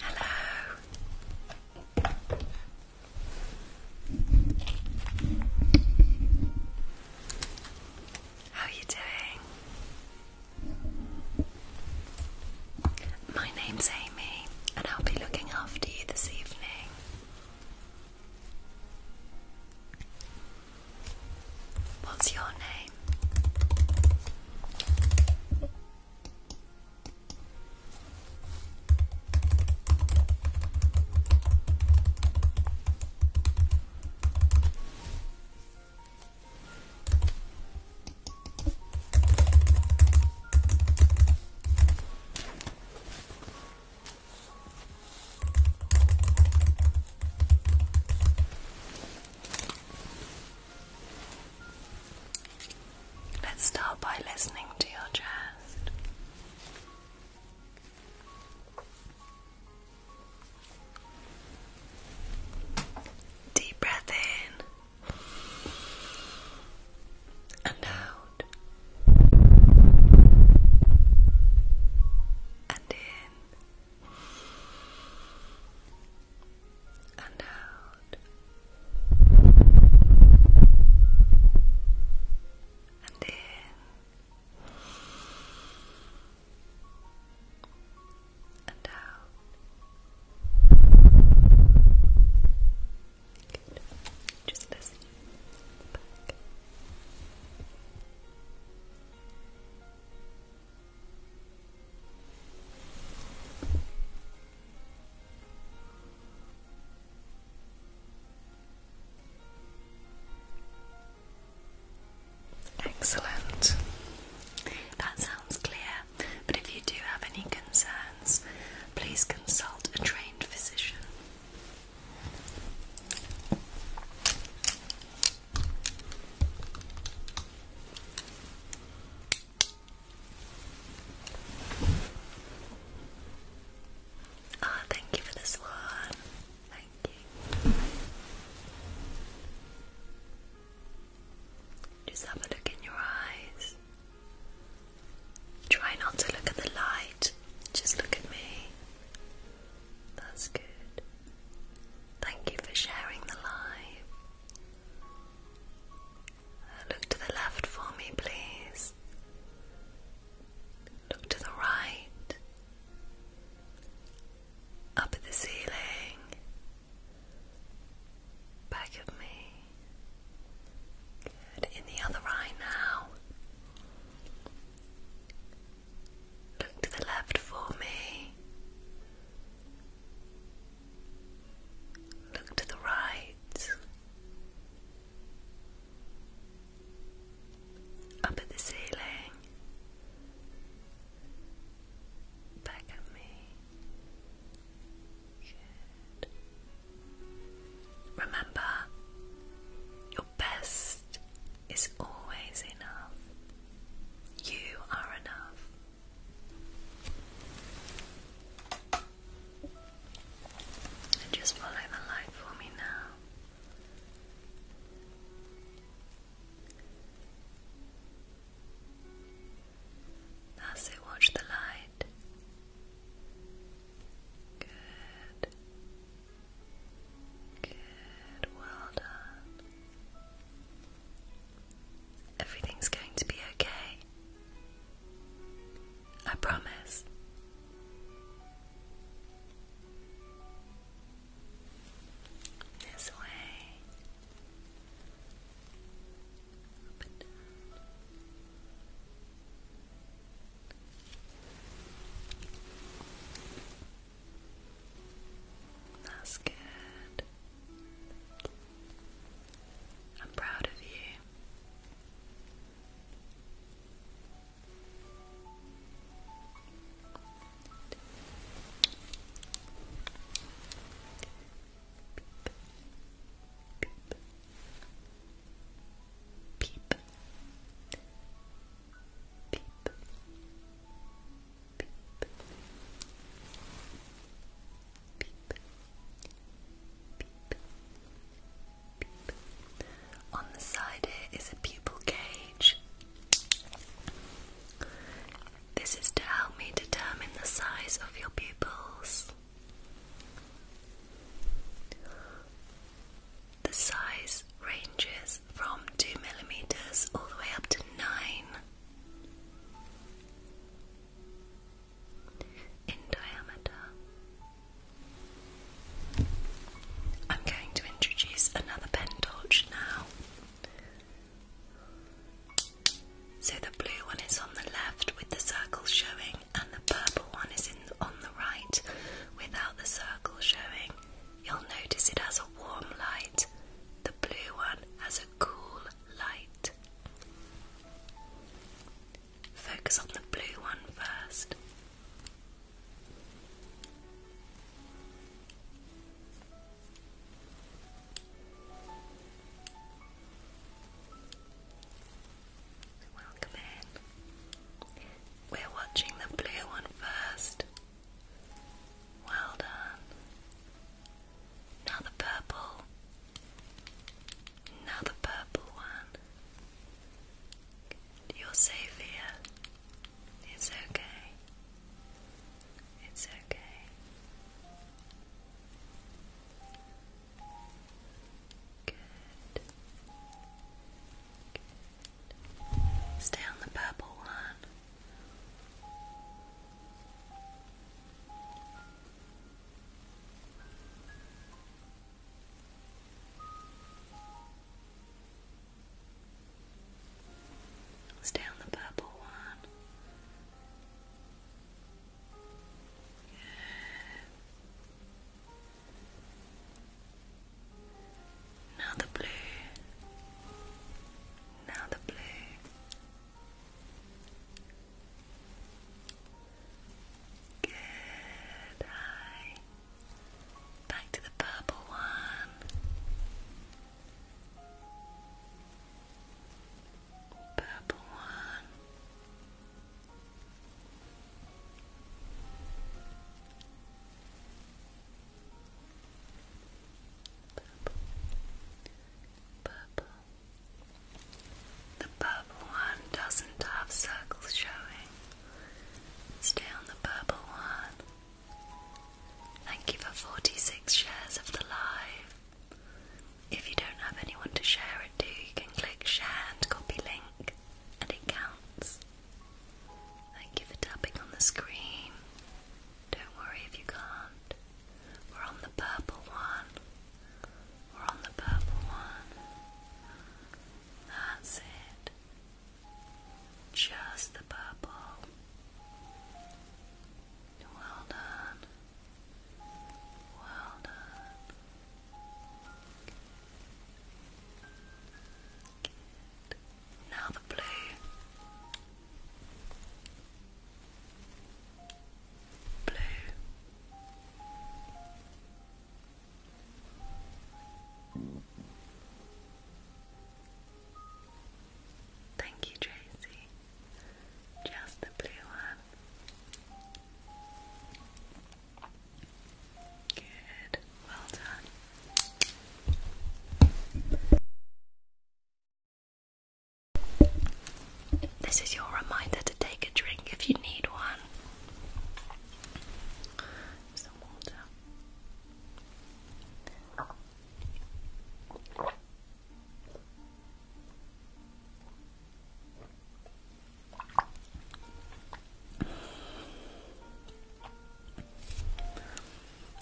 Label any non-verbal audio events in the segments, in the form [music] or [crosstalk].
Hello. How are you doing? My name's Amy, and I'll be looking after you this evening. What's your name? Let's start by listening to your chest. Deep breath in and out and in and out and in and out Excellent. That sounds clear. But if you do have any concerns please consult a trained physician. Ah, thank you for this one. Thank you. Just have a look in your eyes. Try not to look at the light, just look at me. That's good. Thank you for sharing the light. Uh, look to the left for me, please. Look to the right. Up at the ceiling. Back of me. Good. In the other eye now. Look to the left for me. Look to the right. Up at the ceiling. Back at me. Good. Remember, your best is always enough. You are enough. just follow the light for me now. That's it, watch the light. Good. Good. Well done. Everything's going to be okay. I promise. This way. Up and down. That's good. I'm proud of you. Peep. Peep. Peep. Peep. Peep. Peep. On the side here is a pupil cage. This is to help me determine the size of your pupils. The size ranges from 2 millimeters all the way up to 9. In diameter. I'm going to introduce another pen torch now. So the blue one is on the left with the circle showing, and the purple one is in on the right without the circle showing, you'll notice it has a warm light. The blue one has a cool light. Focus on the blue one first. Welcome in. We're watching the blue one first. Well done. Now the purple. Now the purple one. You're safe here. It's okay. It's okay. Stay on the purple one. Stay on the purple one. Now the blue. Now the blue. Good. Hi. Back to the purple one. Purple one. Purple. The purple one doesn't have circles showing. Stay on the purple one. Thank you for 46 shares of the live. If you don't have anyone to share it to, you can click share and copy link and it counts. Thank you for tapping on the screen. Don't worry if you can't. We're on the purple one. We're on the purple one. That's it. Just the purple. Well done. Well done. Now the blue. Blue. Thank you, Tracy. Just the blue one. Good. Well done. This is your reminder to take a drink if you need one. Some water.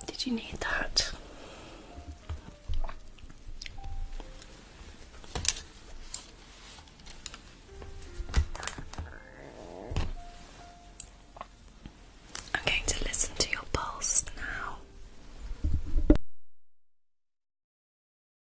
Did you need that? I'm going to listen to your pulse now.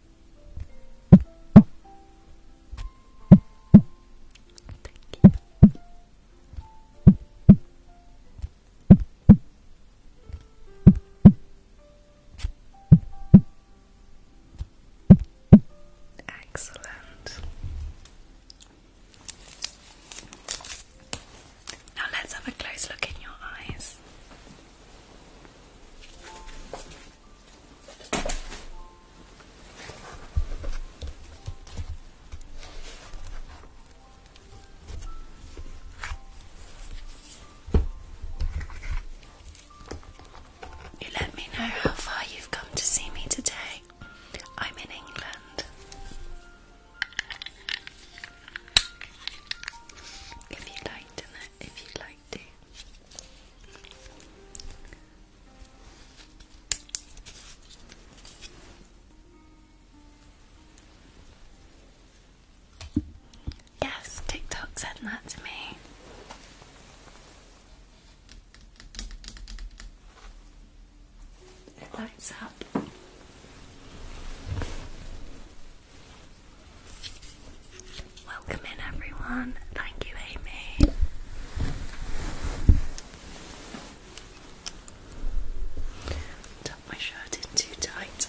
Thank you. Excellent. Now let's have a close look in your eyes. You let me know how far you've come to see me today. I'm in England. If you'd like to know, if you'd Yes, TikTok sent that to me. It lights up. Welcome in, everyone. Thank you, Amy. Tuck my shirt in too tight.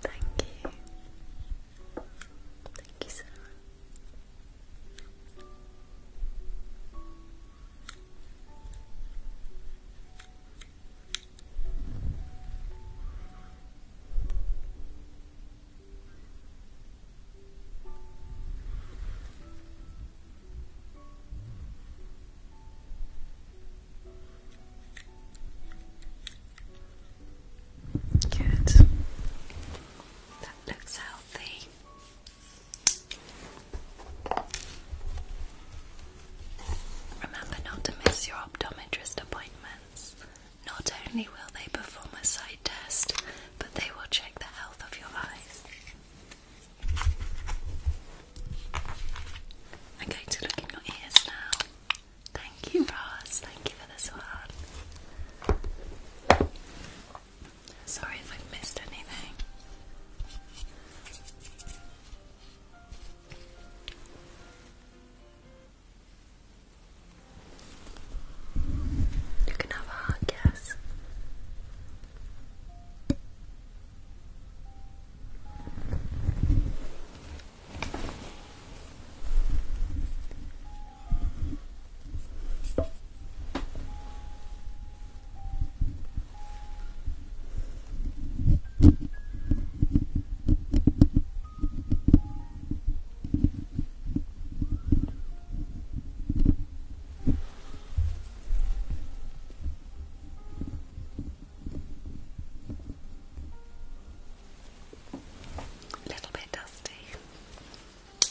Thank you. Thank you so much. Good. That looks healthy. Remember not to miss your optometrist appointments. Not only will they perform a sight test, but they will check the health of your eyes. I'm going to look in your ears now. Thank you, Ross. Thank you for this one. Sorry if i missed anything. You can have a hot guess. A little bit dusty.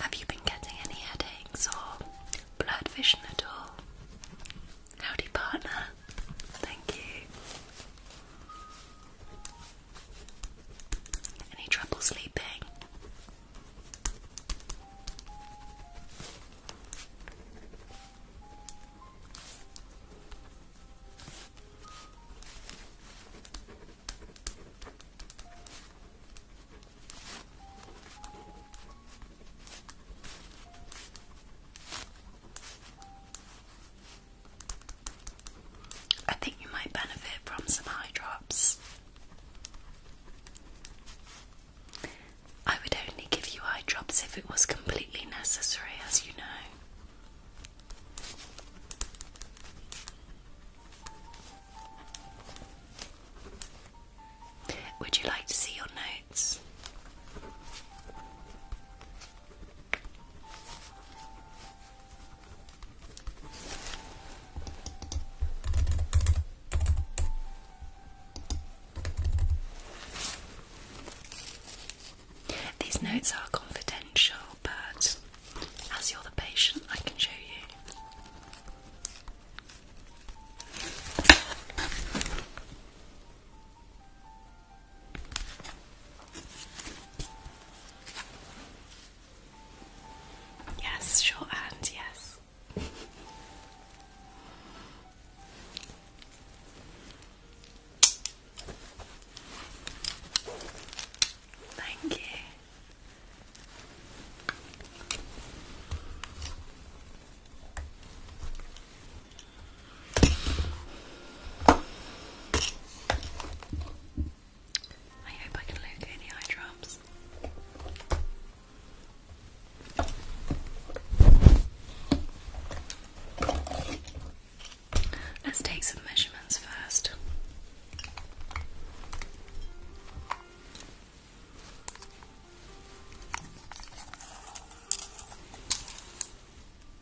Have you been getting any headaches or blood vision at all? Howdy, partner. Thank you. Any trouble sleeping? I think you might benefit from some eye drops. I would only give you eye drops if it was completely necessary, as you know. Would you like to see your notes? These notes are confidential, but as you're the patient, I can show you. Yes, shorthand, yes. Thank you. I hope I can locate any eye drops. Let's take some measurements first.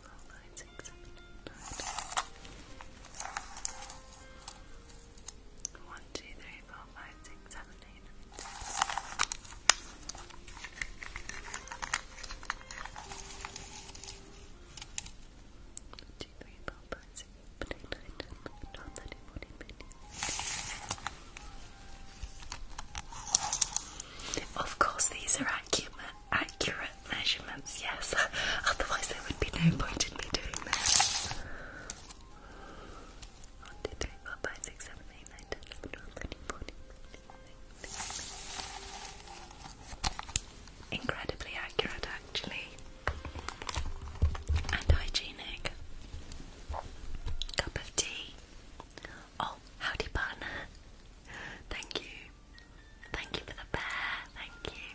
four, five, six, seven, eight, nine. One, two, three, four, five, six, seven, eight, nine. One, two, three, four, five, six, seven, eight, nine, ten, eleven, twelve, thirteen, fourteen, fifteen. Of course, these are acumen accurate measurements, yes. [laughs] Otherwise, there would be no point in me doing this. Incredibly accurate, actually. And hygienic. Cup of tea. Oh, howdy, partner. Thank you. Thank you for the bear, thank you.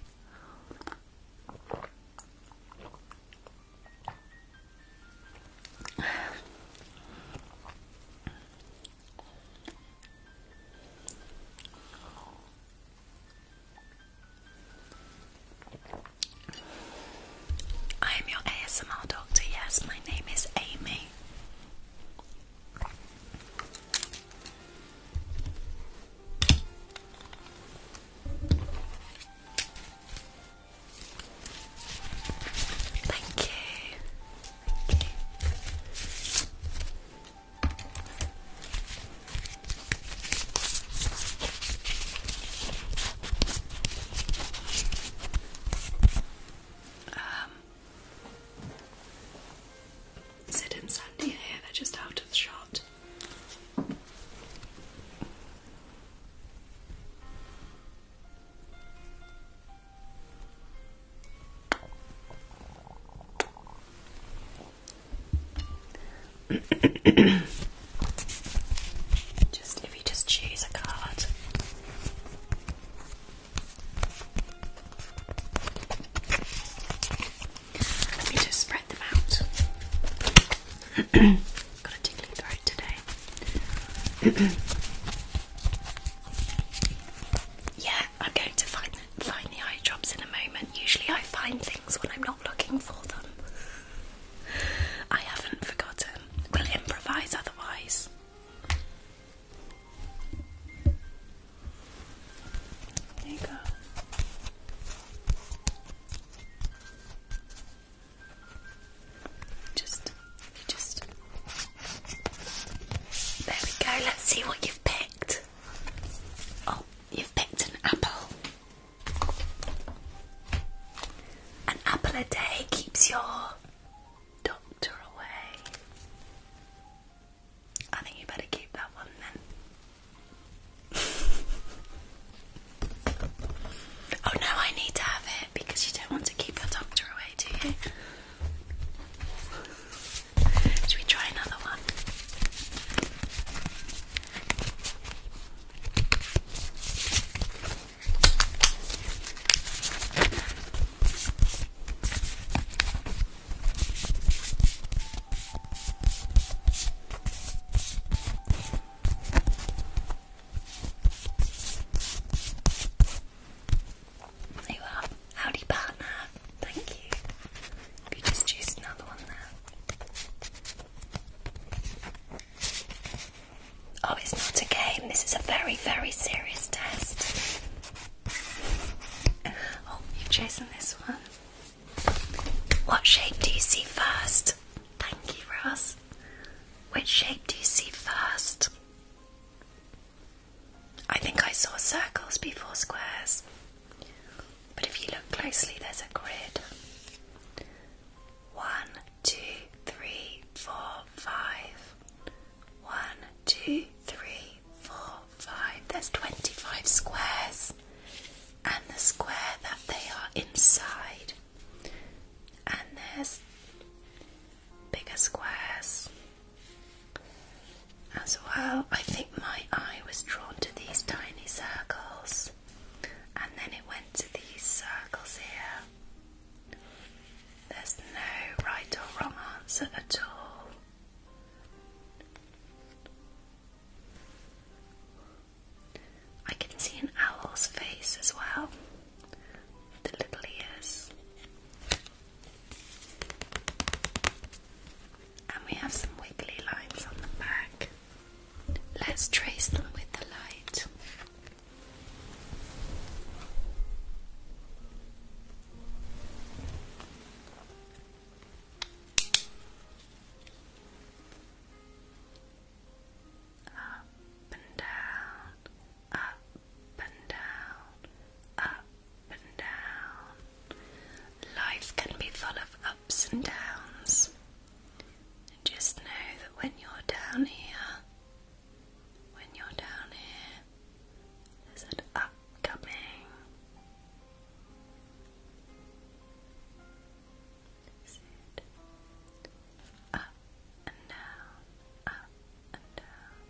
[sighs] I am your ASMR doctor, yes, my name is Amy. Thank you. Um, Sid and Sandy here, they're just out of shot. [coughs] just if you just choose a card. Let me just spread them out. [clears throat] Got a tickling throat today. [clears throat] yeah, I'm going to find the, eye drops in a moment. Usually, I find things when I'm not looking for them. I haven't forgotten. We'll improvise otherwise. There you go. Just, just. There we go. Let's see what you've picked. Oh, you've picked an apple. An apple a day keeps your doctor away. I think you better keep that one then. [laughs] oh no, I need to have it because you don't want to keep your doctor away, do you? Should we try another one? There you are. Howdy, partner. Thank you. You just choose another one there. Oh, it's not a game. This is a very, very serious test. Oh, you've chosen this one. What shape do you see first? Thank you, Ross. Which shape do you see first? I think I saw circles before squares. But if you look closely, there's a grid. One, two, three, four, five. One, two, three, three, four, five. There's 25 squares, and the square that they are inside. And there's bigger squares as well. I think my eye was drawn to these tiny circles, and then it went to these circles here. There's no right or wrong answer at all. I can see an owl's face as well, the little ears. And we have some wiggly lines on the back. Let's trace them with the light. Up and down, up and down, up and down. Life can be full of ups and downs. Just know that when you're down here, when you're down here, is it upcoming? Is up and down, up and down,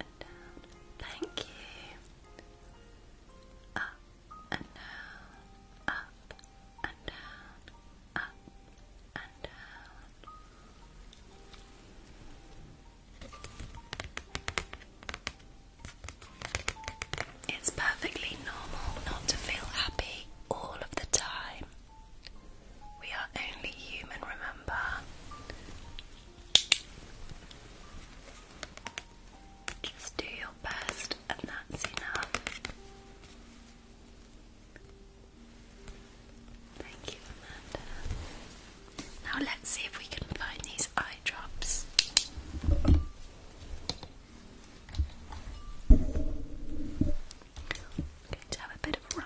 and down? Thank you. Up and down, up and down, up and down. It's perfectly normal not to feel happy all of the time. We are only human, remember? Just do your best, and that's enough. Thank you, Amanda. Now let's see if we can find these eye drops. going to have a bit of a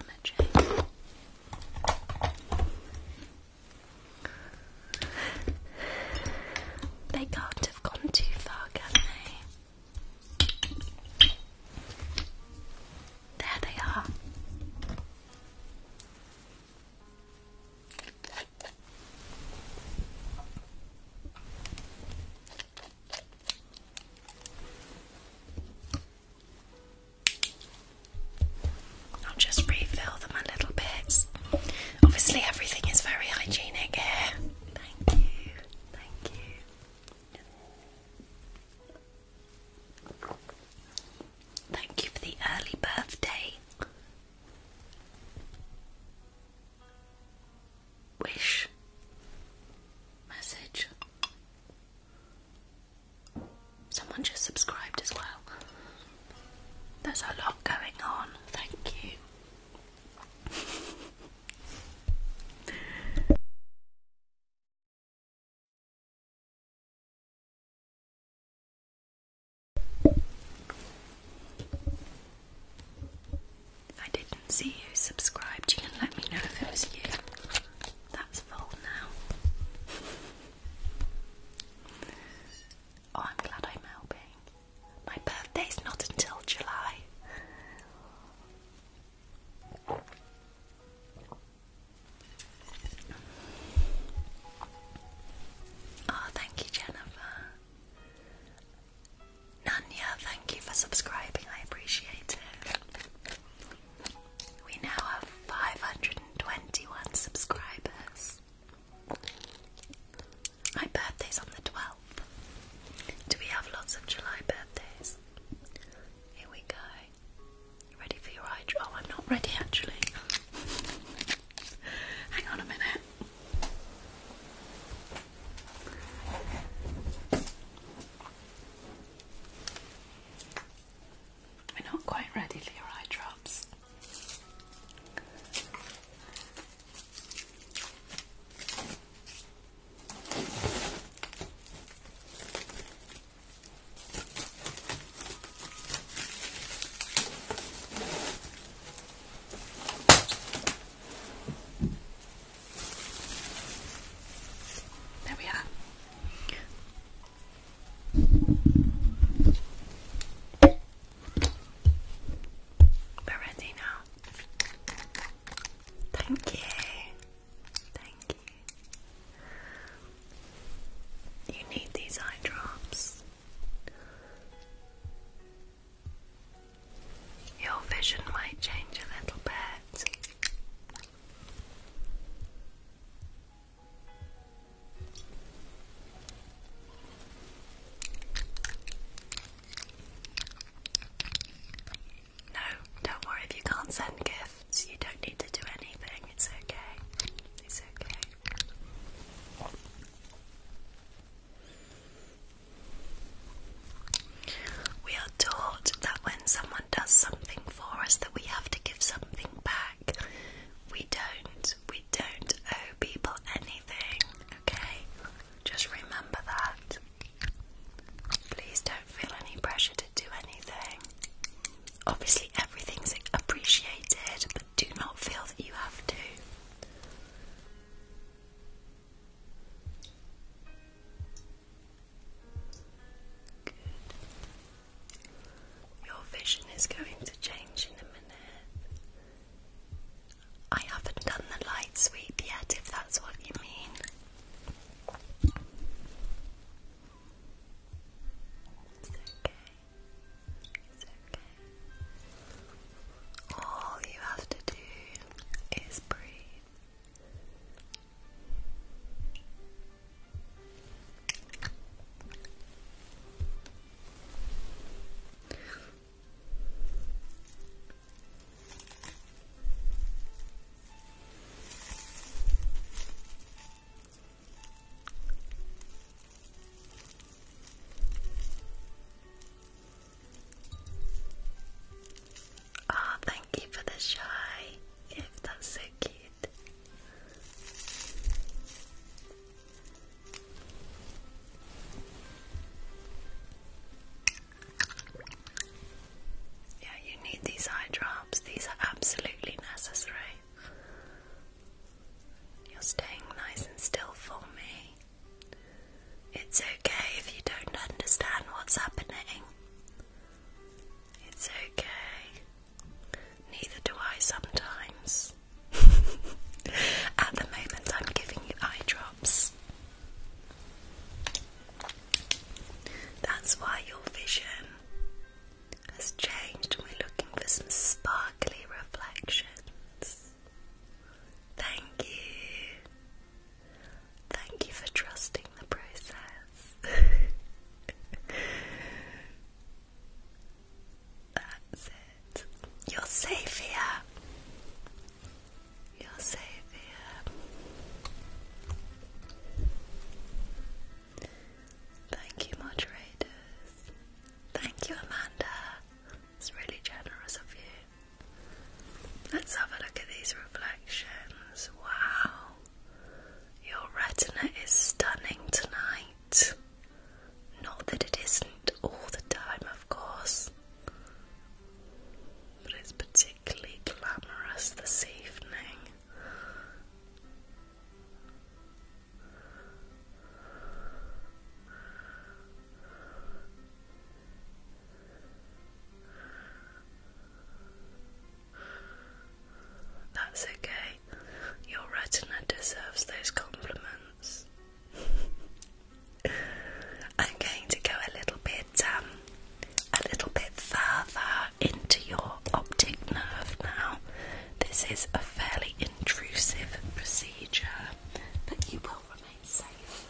They have gone too far, can they? There they are. I'll just refill them a little bit. Obviously, everything is very hygienic here. Thank you, thank you. Thank you for the early birthday. Wish message. Someone just subscribed as well. There's a lot going on. Thank you. I didn't see you subscribed. You can let me know if it was you. That's full now. oh, I'm glad I'm helping. My birthday's not until July. Oh, thank you, Jennifer. Nanya, thank you for subscribing. I appreciate it. We now have 521 subscribers. My birthday's on the 12th. Do we have lots of July birthdays? Here we go. You ready for your eye? Oh, I'm not ready actually. [laughs] Hang on a minute. We're not quite ready for eye drops. There we are. We're ready now. Thank you. Thank you. You need these eye drops. Your vision might change a little bit. No, don't worry if you can't send gifts. You don't need to do anything. It's okay. It's okay. We are taught that when someone does something for us that we have to give something back. We don't. We don't owe people anything, okay? Just remember that. Please don't feel any pressure to do anything. Obviously everything's appreciated, but do not feel you have to. Your vision is going to change in a minute. I haven't done the light sweep yet, if that's what you mean. It's All you have to do is breathe. Oh, thank you for the shy That's so cute. Yeah, you need these eye drops. These are absolutely necessary. You're staying nice and still for me. It's okay if you don't understand what's happening. It's okay. Neither do I sometimes. [laughs] At the moment, I'm giving you eye drops. That's why your vision has changed, and we're looking for some sparkly reflection. Thank you. Thank you for trusting the process. [laughs] That's it. You're safe here. You're safe here. Thank you, moderators. Thank you, Amanda. It's really generous of you. Let's have a look at these reflections. Wow. Your retina is stunning tonight. Not that it isn't all the time, of course, but it's particularly glamorous this evening. That's okay. Your retina deserves those compliments. [laughs] I'm going to go a little bit, um, a little bit further into your optic nerve now. This is a fairly intrusive procedure, but you will remain safe.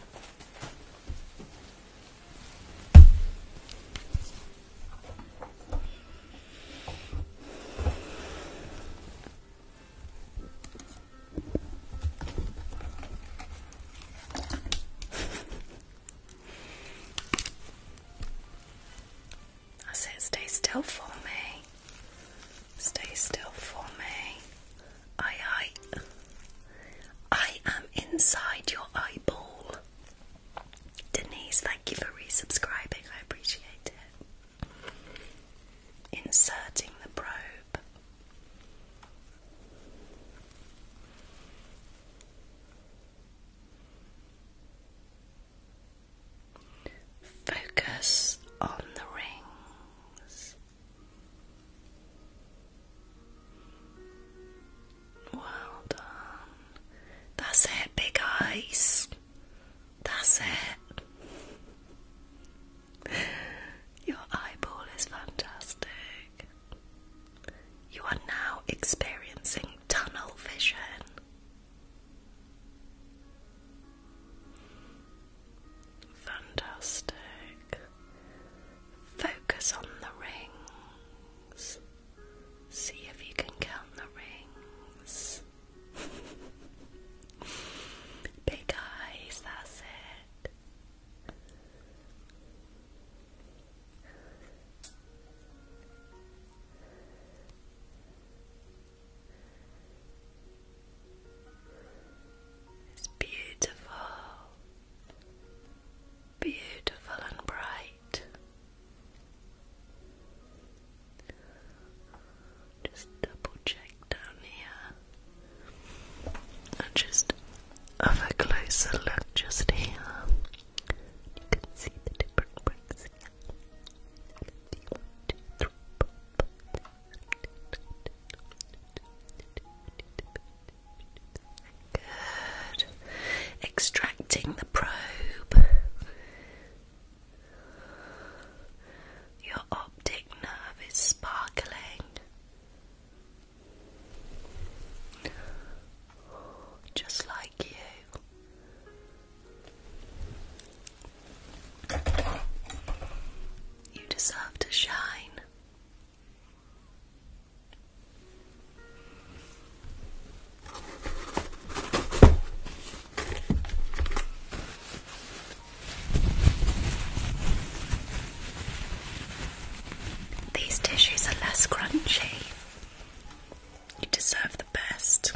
I say, stay still for me. Stay still for me. I, I, am inside your eyeball. Denise, thank you for resubscribing. I appreciate it. Inserting the probe. Focus on the rings. Well done. That's it, big eyes. That's it. Your eyeball is fantastic. You are now experiencing tunnel vision. Fantastic. Focus on the rings. See if you can count the rings. [laughs] Big eyes, that's it. It's beautiful, beautiful and bright. Just double check down here and just have a closer look just here. You can see the different bricks here. Good. Extracting the probe. Your optic nerve is sparkling. Just like you. You deserve to shine. These tissues are less crunchy. You deserve the best.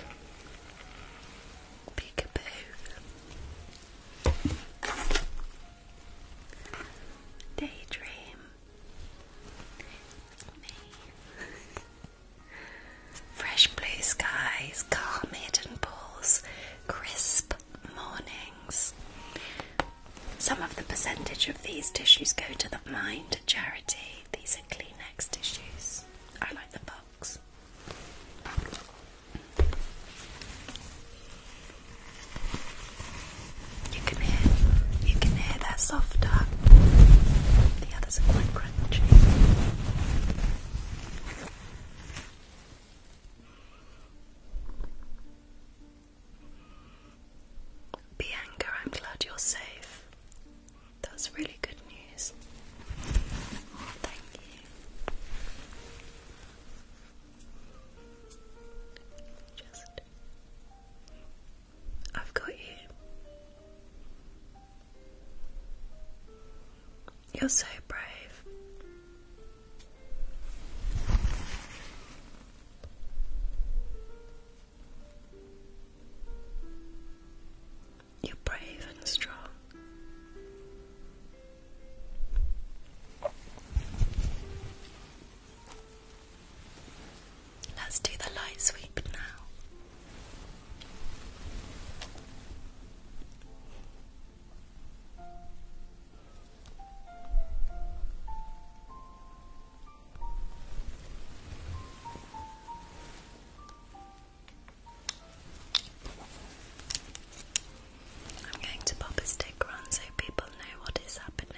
Peekaboo. Daydream. Me. Fresh blue skies, calm hidden pools, crisp mornings. Some of the percentage of these tissues go to the mind charity. These are Kleenex tissues. I like the box. You can hear, you can hear that softer. The others are quite crunchy. Bianca, I'm glad you're safe. That's really good news. Thank you. I've got you. You're so brave. You're brave and strong. Let's do the light sweep now. I'm going to pop a stick on so people know what is happening.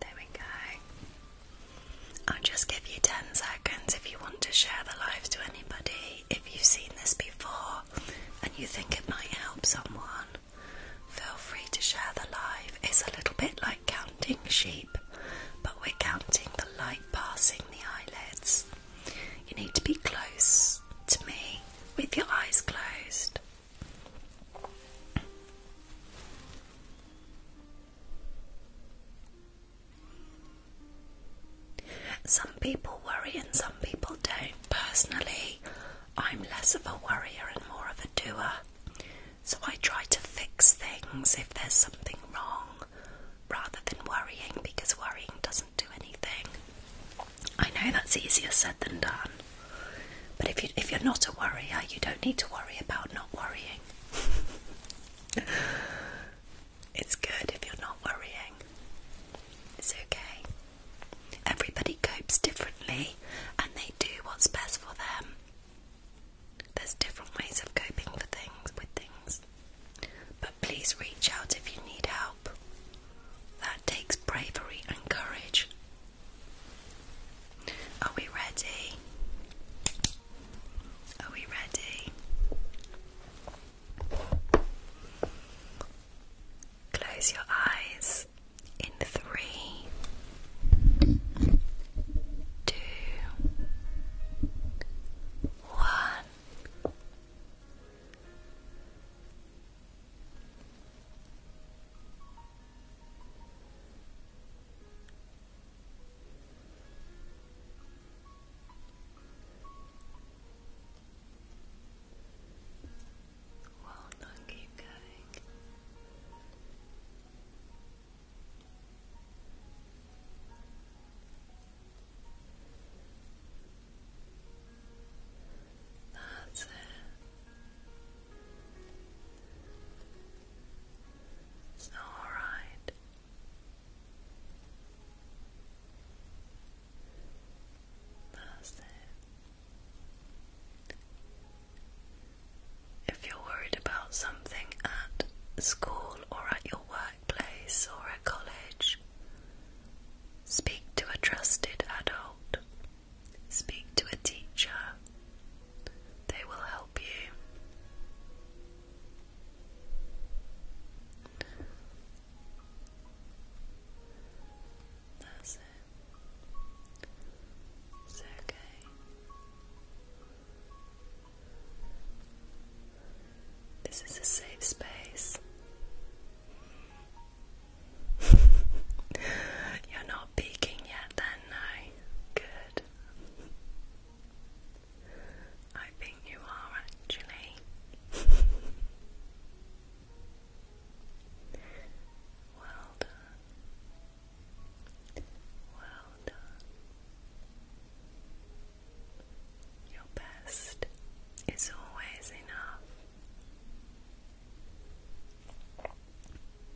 There we go. I'll just give you 10 seconds if you want to share the live to anybody. If you've seen this before and you think it might help someone, feel free to share the live. It's a little bit like counting sheep, but we're counting the light passing the eyelids. You need to be close to me with your eyes closed. Some people worry and some people don't. Personally, I'm less of a worrier and more of a doer. So I try to fix things if there's something wrong rather than worrying because worrying doesn't do anything. I know that's easier said than done, but if you are not a worrier, you don't need to worry about not worrying. [laughs] it's good if you're not worrying. It's okay. Everybody copes differently, and they do what's best for them. There's different ways of coping for things with things. But please reach out if you need help. That takes bravery and courage. Are we ready? Are we ready? Close your eyes in three, two, one. Well done, keep going. Good. That's it. It's all right. That's it. If you're worried about something at school or at your workplace or at college, speak to a trusted adult. Speak to a teacher, they will help you. That's It's okay. This is a safe space. [laughs] You're not peeking yet, then, no? Good. I think you are actually. [laughs] well done. Well done. Your best is always enough.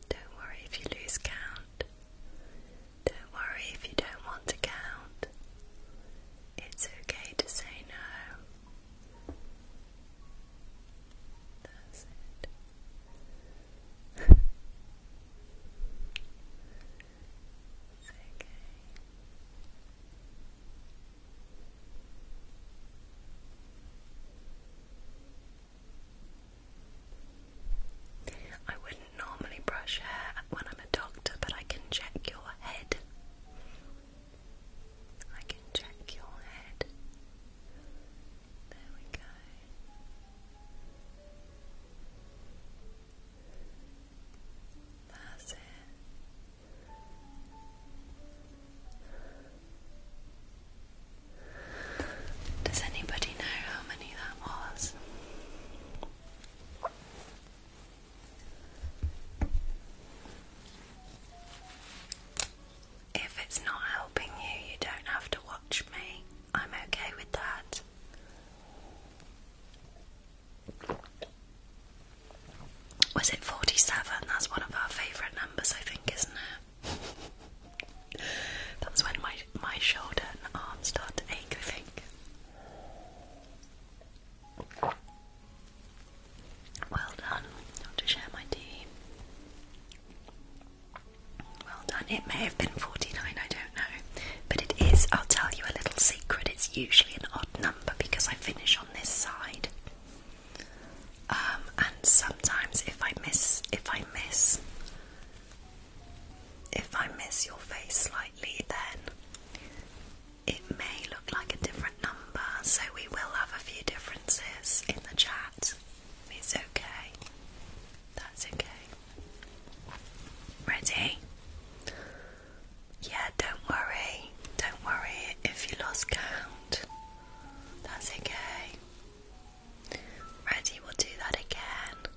Don't worry if you lose count. Don't worry if you don't want to count. It's okay to say no. That's it. [laughs] it's okay. I wouldn't normally brush hair when I'm a doctor, but I can check your head. I can check your head. There we go. That's it. Does anybody know how many that was? If it's not helping you, you don't have to watch me. I'm okay with that. Was it 47? That's one of our favourite numbers, I think, isn't it? That's when my my shoulder and arm start to Well done. Not to share my tea. Well done. It may have been 49, I don't know. But it is, I'll tell you a little secret, it's usually an odd number because I finish on this side. Um, and sometimes if I miss, if I miss, if I miss your face slightly, then it may look like a different number. So we will have a few differences in the chat. It's okay. That's okay. Ready? Yeah, don't worry. Don't worry if you lost count. That's okay. Ready, we'll do that again.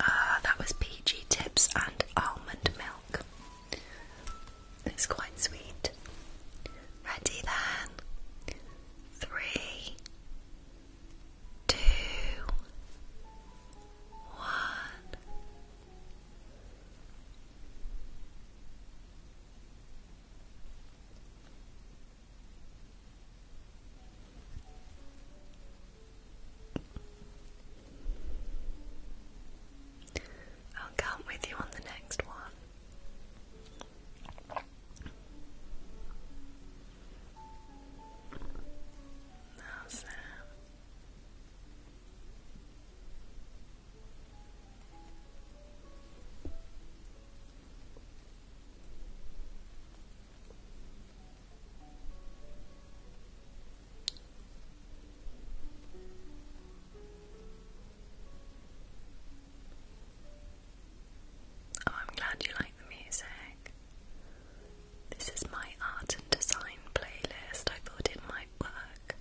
Ah, that was peachy tips and almond milk. It's quite sweet. Ready then. Three, two, one. I'll come with you on the next one. Now, Sam. Oh, I'm glad you like the music. This is my art and design playlist. I thought it might work.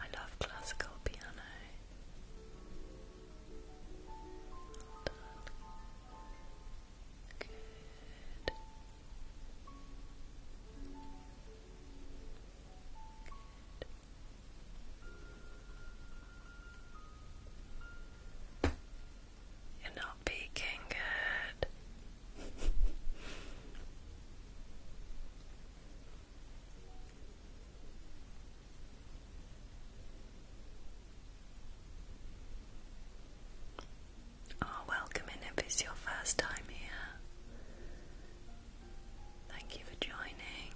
I love classical piano. You're not peeking good. [laughs] Oh, welcome in if it's your first time here. Thank you for joining.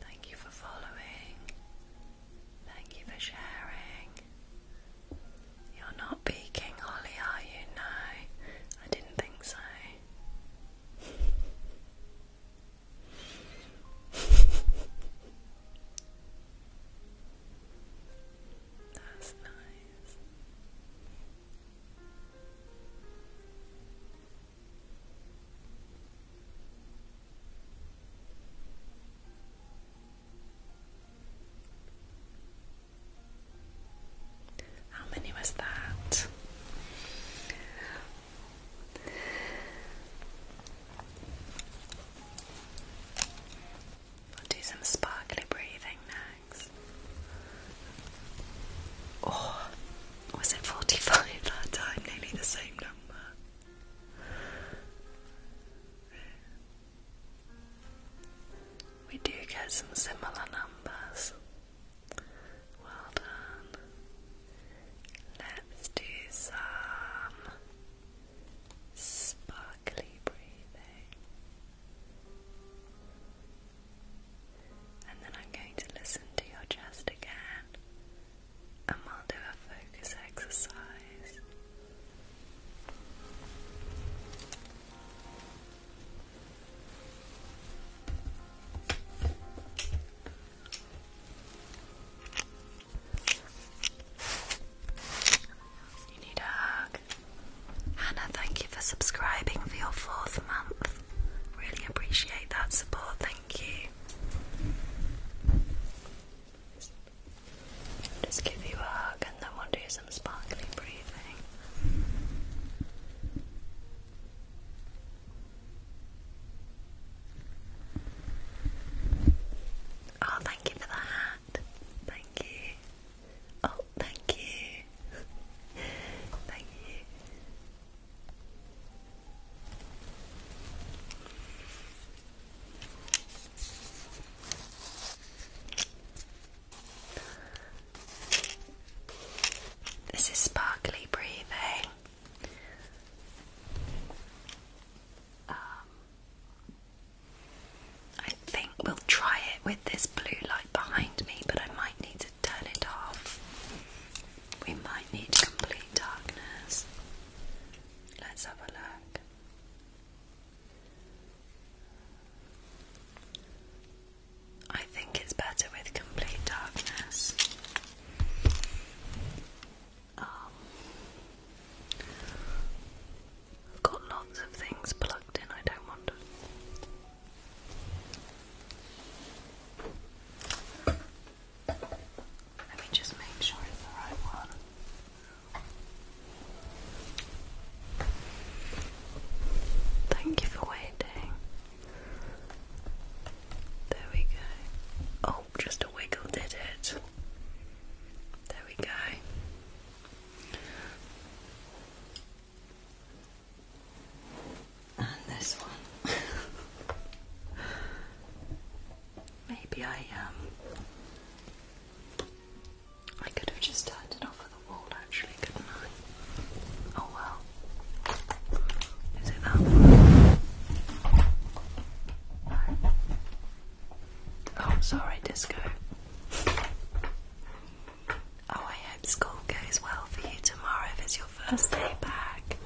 Thank you for following. Thank you for sharing. You're not peeking, Holly, are you? No, I didn't think so. That's nice. How many was that? do some sparkly breathing next. Oh, was it 45 [laughs] that time? Nearly the same number. We do get some similar numbers. Well done. Let's do some sparkly breathing. And then I'm going to listen to your chest again, and we'll do a focus exercise. You need Hannah, thank you for subscribing for your fourth month. Really appreciate that support, thank you just give you a hug and then we'll do some sparkly breathing. Oh, thank you for the Thank you. Oh, thank you. thank you. This is sparkly breathing. Um, I think we'll try it with this blue light behind me, but I might need to turn it off. We might need complete darkness. Let's have a look. I think it's better with complete darkness. Um, I've got lots of things plugged in, I don't want to. Let me just make sure it's the right one. Thank you for waiting. There we go. Oh, just a wiggle did it. There we go. And this one. [laughs] Maybe I um I could have just turned it off of the wall actually, couldn't I? Oh well. Is it that one? Oh, sorry, Disco. Oh, I hope school goes well for you tomorrow if it's your first day back.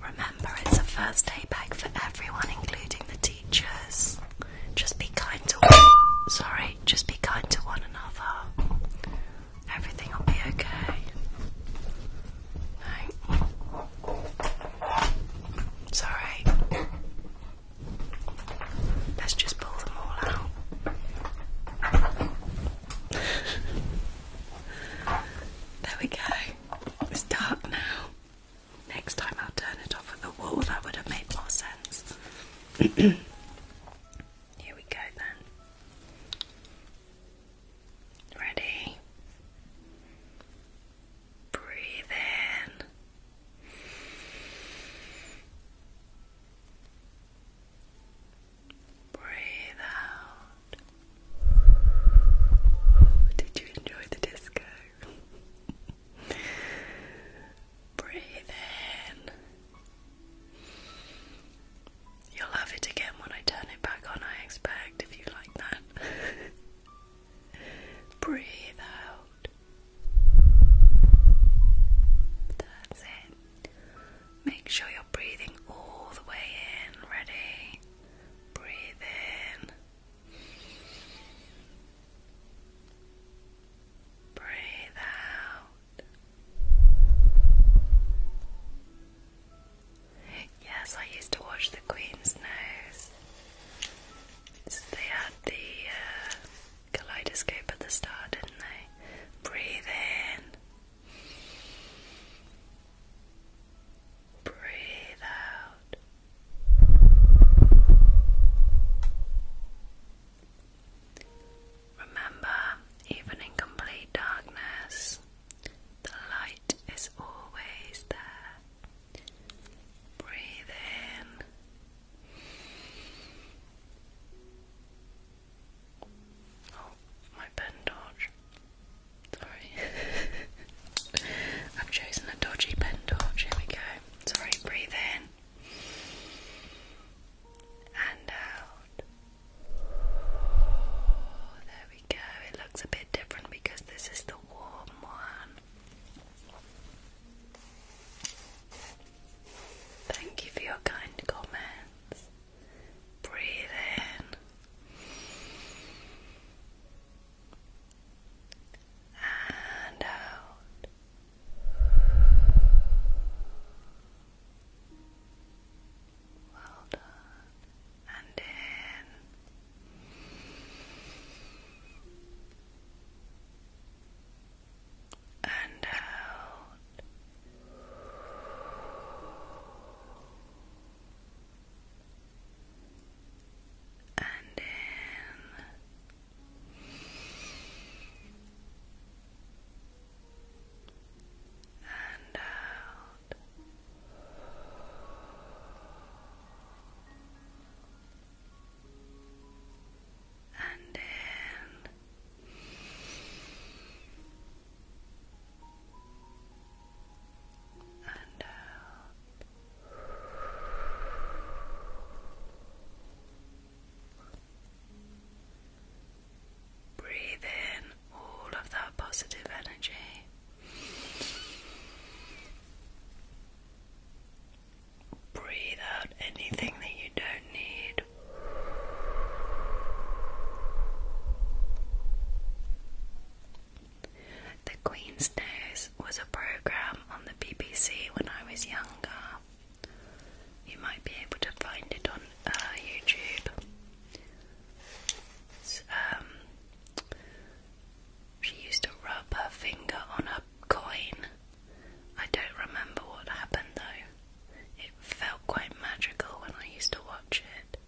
Remember, it's a first day back for everyone, including the teachers. Just be kind to sorry, just be kind to one another. Everything will be okay. No. It's Let's just pull them all out. [laughs] there we go. It's dark now. Next time I'll turn it off at the wall, that would have made more sense. [clears throat] Here we go then. Ready? Breathe in. Breathe out. Did you enjoy the disco? [laughs] Breathe in. You'll have it again when I turn it back on, I expect, if you like that. [laughs] Breathe out. That's it. Make sure you're breathing all the way in. Ready? Breathe in. Breathe out. Yes, I used to watch The Queen's Nose. they had the uh, uh, kaleidoscope at the start, didn't they? Breathe in. Breathe out. Remember, even in complete darkness, the light is always there. Breathe in. Oh, my pen torch. Sorry. [laughs] I've chosen a dodgy pen torch. Here we go sorry, breathe in and out. There we go. It looks a bit different because this is the warm one. Thank you for your kind comments. Breathe in and out. Well done. And in. And out. And in and out. And in and out Breathe in all of that positive energy. Breathe out anything that you don't need. The Queen's nose was a program on the BBC when I was younger. You might be able to find it on uh, YouTube. Um, she used to rub her finger on a coin. I don't remember what happened though. It felt quite magical when I used to watch it.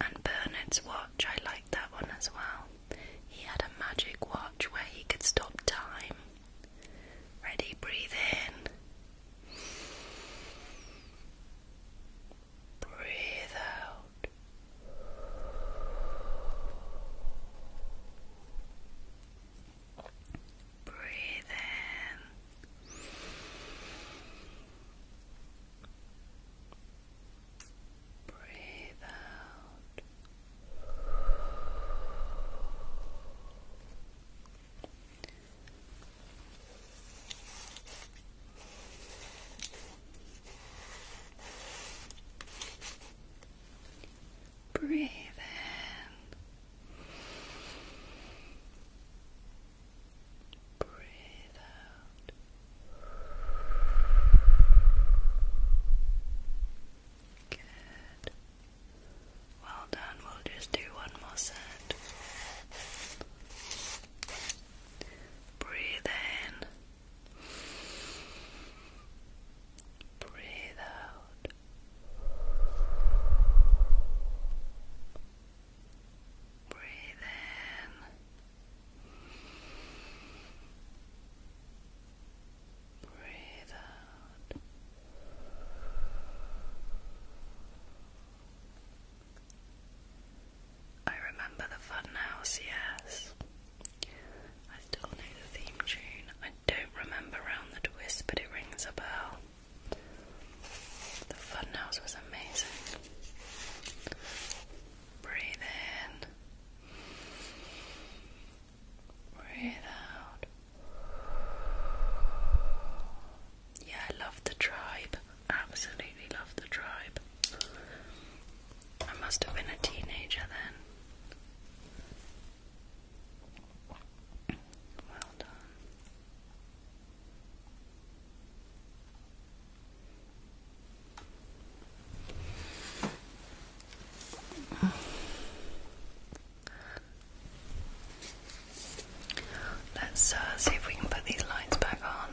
And Bernard's watch, I liked that one as well. He had a magic watch where he could stop time. Ready, breathe in. Breathe out. Breathe in. Breathe out. Breathe in. Breathe out. Good. Well done. We'll just do one more set. Breathe in. Breathe out. Breathe in. Breathe out. I remember the funhouse, yes. I still know the theme tune. I don't remember Round the Twist, but it rings a bell. The funhouse was amazing. Breathe in. Breathe out. Yeah, I love the tribe. Absolutely love the tribe. I must have been a teenager then. Well done. Let's uh, see if we can put these lights back on.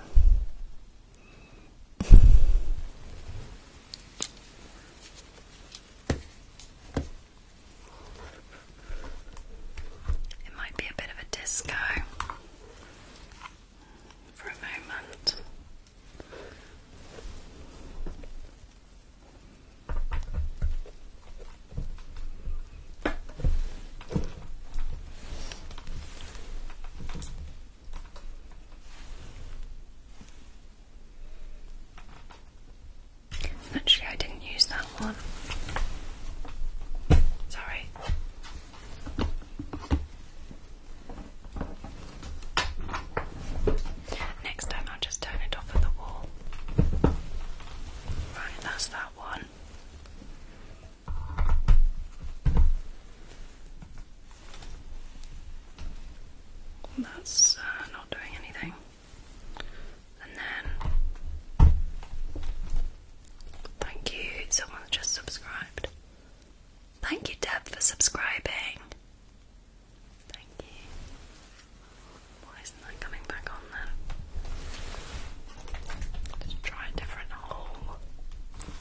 It might be a bit of a disco for a moment. Actually, I didn't use that one. Sorry. Next time I'll just turn it off at the wall. Right, that's that one. That's uh, not doing anything. And then, thank you, someone just subscribed. Thank you, Deb, for subscribing. Thank you. Why isn't that coming back on then? Let's try a different hole.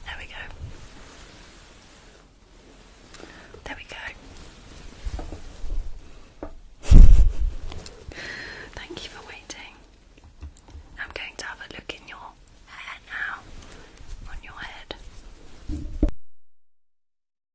There we go. There we go. Thank you for waiting. I'm going to have a look in your hair now, on your head.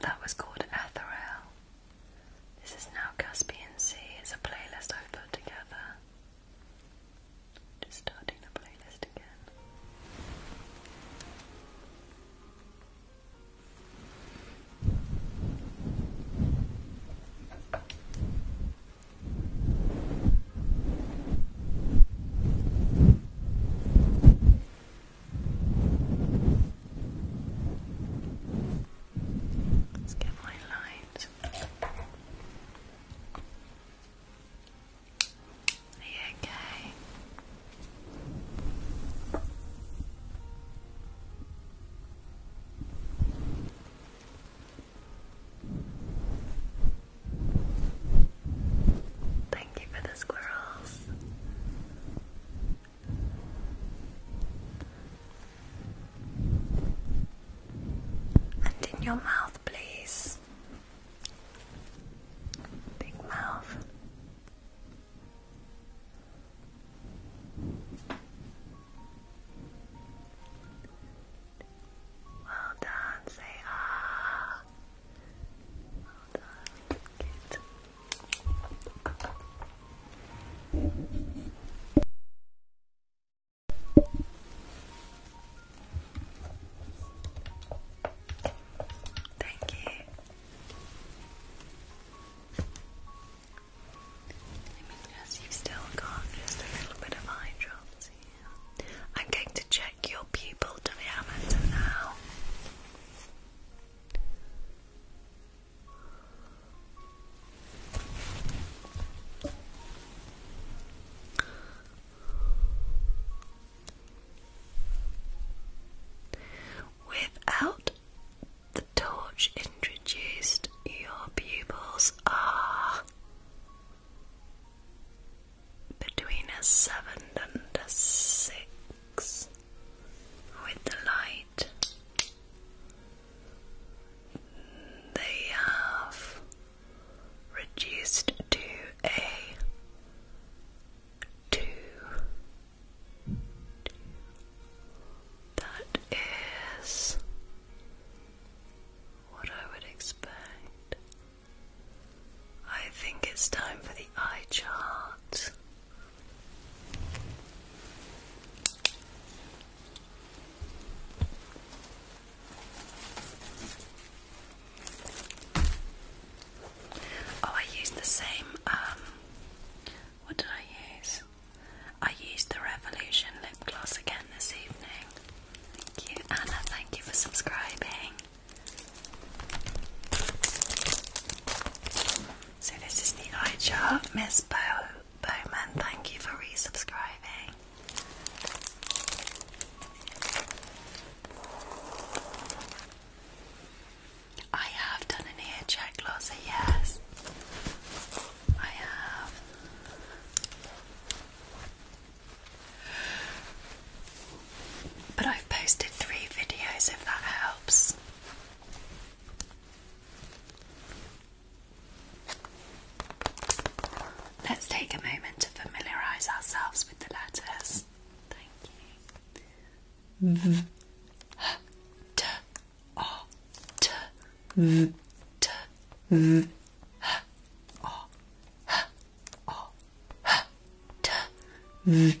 that was called Ethereal. This is now Caspian Sea. It's a playlist I've put together. Just starting the playlist again. Let's get my light. Are you okay? Thank you for the squirrels. And in your mouth, please. Big mouth. Well done, say ah. Well done, good. Thank you. Let me just, you still got just a little bit of eye I'm going to check your pupil diameter now. Without the torch introduced, your pupils are between a seven and a six with the light. They have reduced to a two. That is what I would expect. I think it's time for the eye chart. Oh, I used the same. Um, what did I use? I used the Revolution lip gloss again this evening. Thank you, Anna. Thank you for subscribing. So this is the eye chart, Miss Bowman. Thank you for resubscribing. I have done an ear check, Losser, yes. I have. But I've posted three videos if that helps. Let's take a moment to familiarise ourselves with the letters. Thank you. V T O T V T V H O H O H T V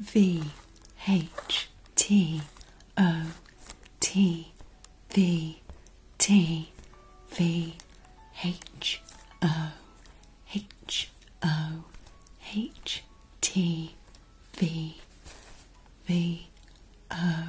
V H T O T V T V H O H O H T V V O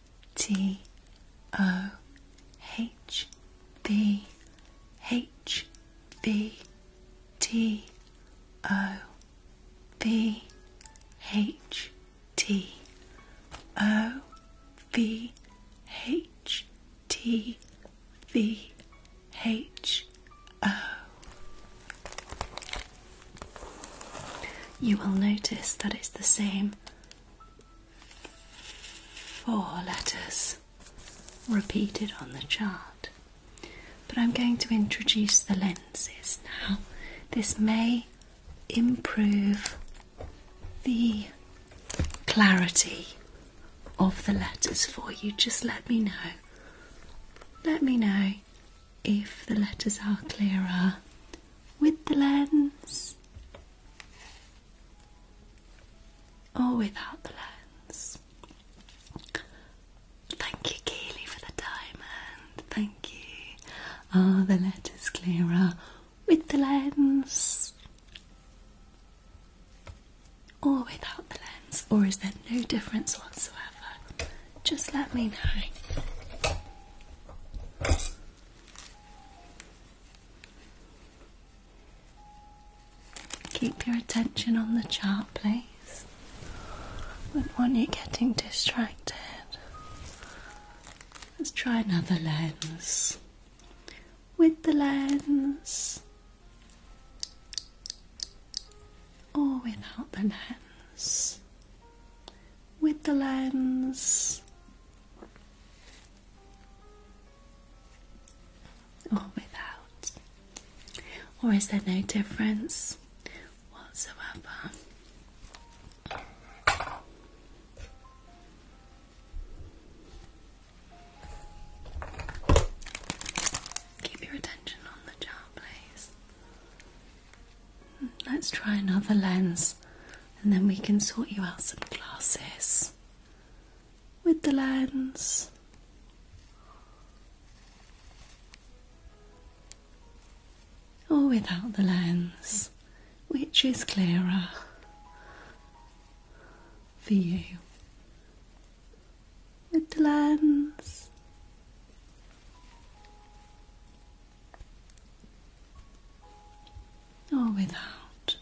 T O H B H B T O B H T O V H T V H O. You will notice that it's the same Four letters repeated on the chart. But I'm going to introduce the lenses now. This may improve the clarity of the letters for you. Just let me know. Let me know if the letters are clearer with the lens or without the lens. Thank you, Keely, for the diamond. Thank you. Are the letters clearer with the lens or without the lens? Or is there no difference whatsoever? Just let me know. Keep your attention on the chart, please. Wouldn't want you getting distracted. Let's try another lens. With the lens, or without the lens with the lens. Or without? Or is there no difference whatsoever? Keep your attention on the jar, please. Let's try another lens and then we can sort you out some glasses with the lens. Or without the lens, which is clearer for you? With the lens or without.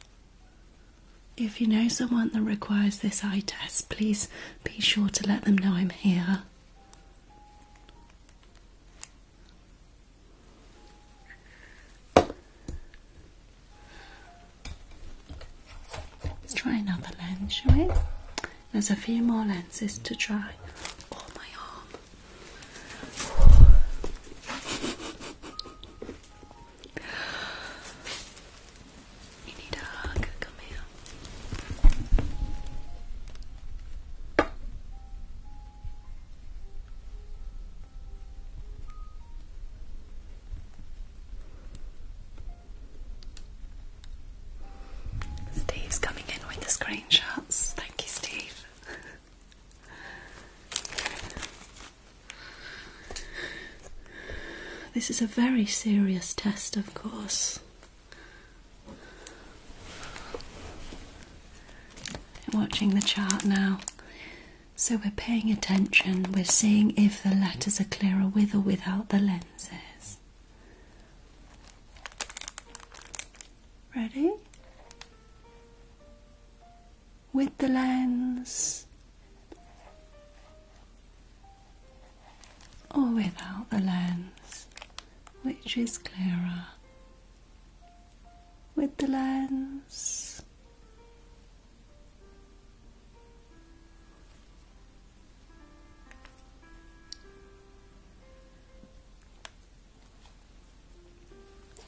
If you know someone that requires this eye test, please be sure to let them know I'm here. Let's try another lens, shall we? There's a few more lenses to try. Oh, my arm. You need come here. Steve's coming in with the screenshots. Thank you, Steve. [laughs] This is a very serious test, of course. watching the chart now. So we're paying attention, we're seeing if the letters are clearer with or without the lenses. Ready? with the lens or without the lens, which is clearer. With the lens,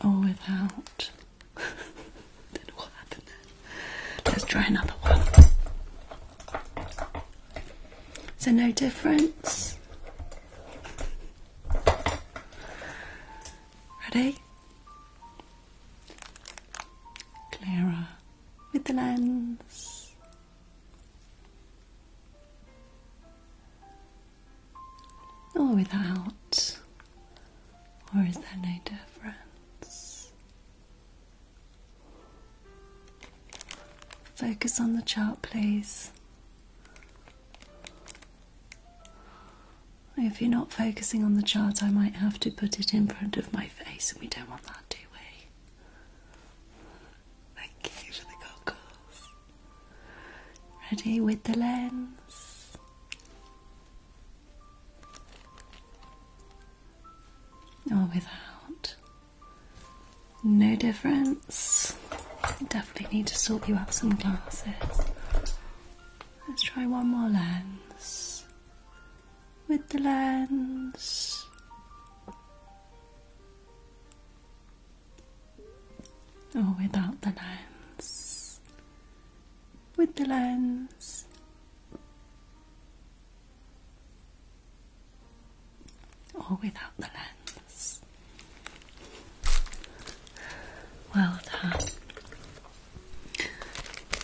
or without. do [laughs] what happened Let's try another one. So no difference. Ready? Clara, with the lens or without, or is there no difference? Focus on the chart, please. If you're not focusing on the chart, I might have to put it in front of my face, and we don't want that, do we? Thank you for the goggles. Ready with the lens. Or without. No difference. Definitely need to sort you out some glasses. Let's try one more lens. With the lens or oh, without the lens, with the lens. Or without the lens. Well done.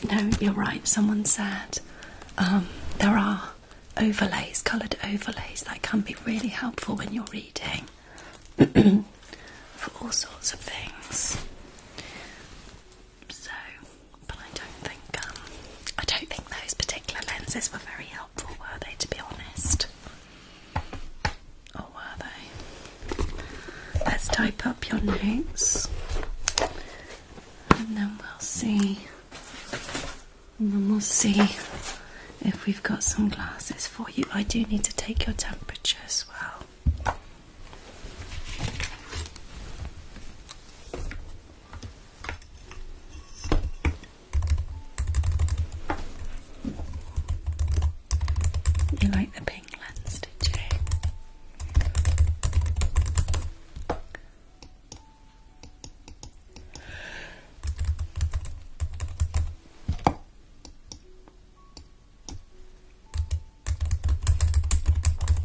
No, you're right. Someone said um, there are overlays, coloured overlays, that can be really helpful when you're reading. [clears throat] for all sorts of things. So, but I don't think um, I don't think those particular lenses were very helpful, were they? To be honest, or were they? Let's type up your notes, and then we'll see. And then we'll see if we've got some glasses for you. I do need to take your temperature as well. You like the pink lens, did you?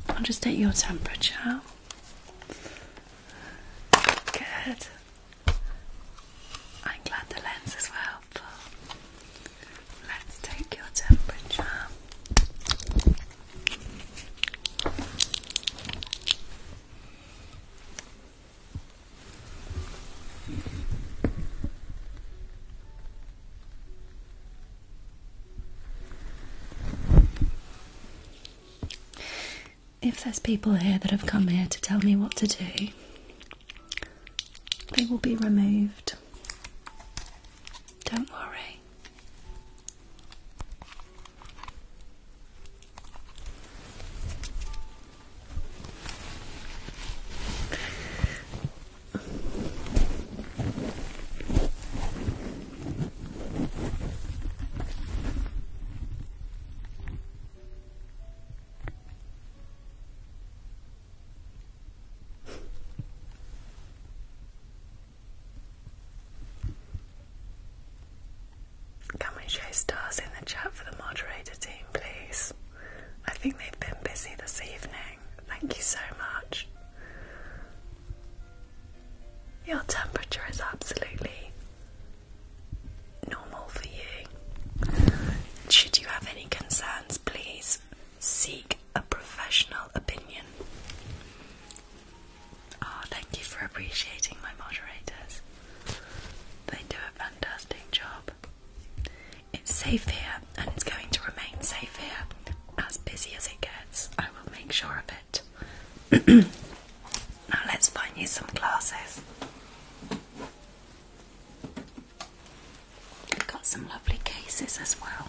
I'll just take your temperature. Good. I'm glad the lens is well. Let's take your temperature. If there's people here that have come here to tell me what to do, they will be removed. Don't worry. Can we show stars in the chat for the moderator team, please? I think they've been busy this evening. Thank you so much. Your temperature is absolutely normal for you. Should you have any concerns, please seek a professional opinion. Oh, thank you for appreciating my moderators. They do a fantastic job. It's safe here and it's going to remain safe here. As busy as it gets, I will make sure of it. [clears throat] now let's find you some glasses. We've got some lovely cases as well.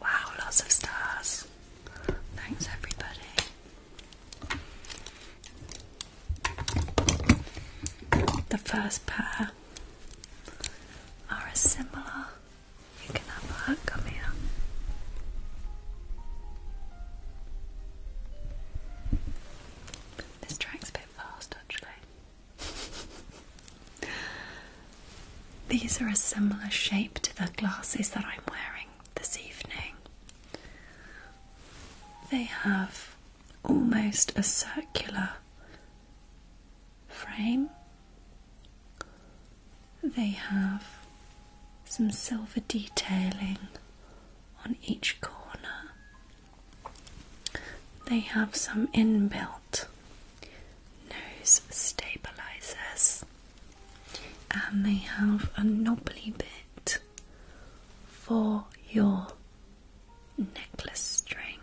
Wow, lots of stars. Thanks, everybody. The first pair are a similar. You can have a look, come here. This track's a bit fast actually. These are a similar shape to the glasses that I'm wearing this evening. They have almost a circular frame. They have some silver detailing on each corner. They have some inbuilt nose stabilizers and they have a knobbly bit for your necklace string.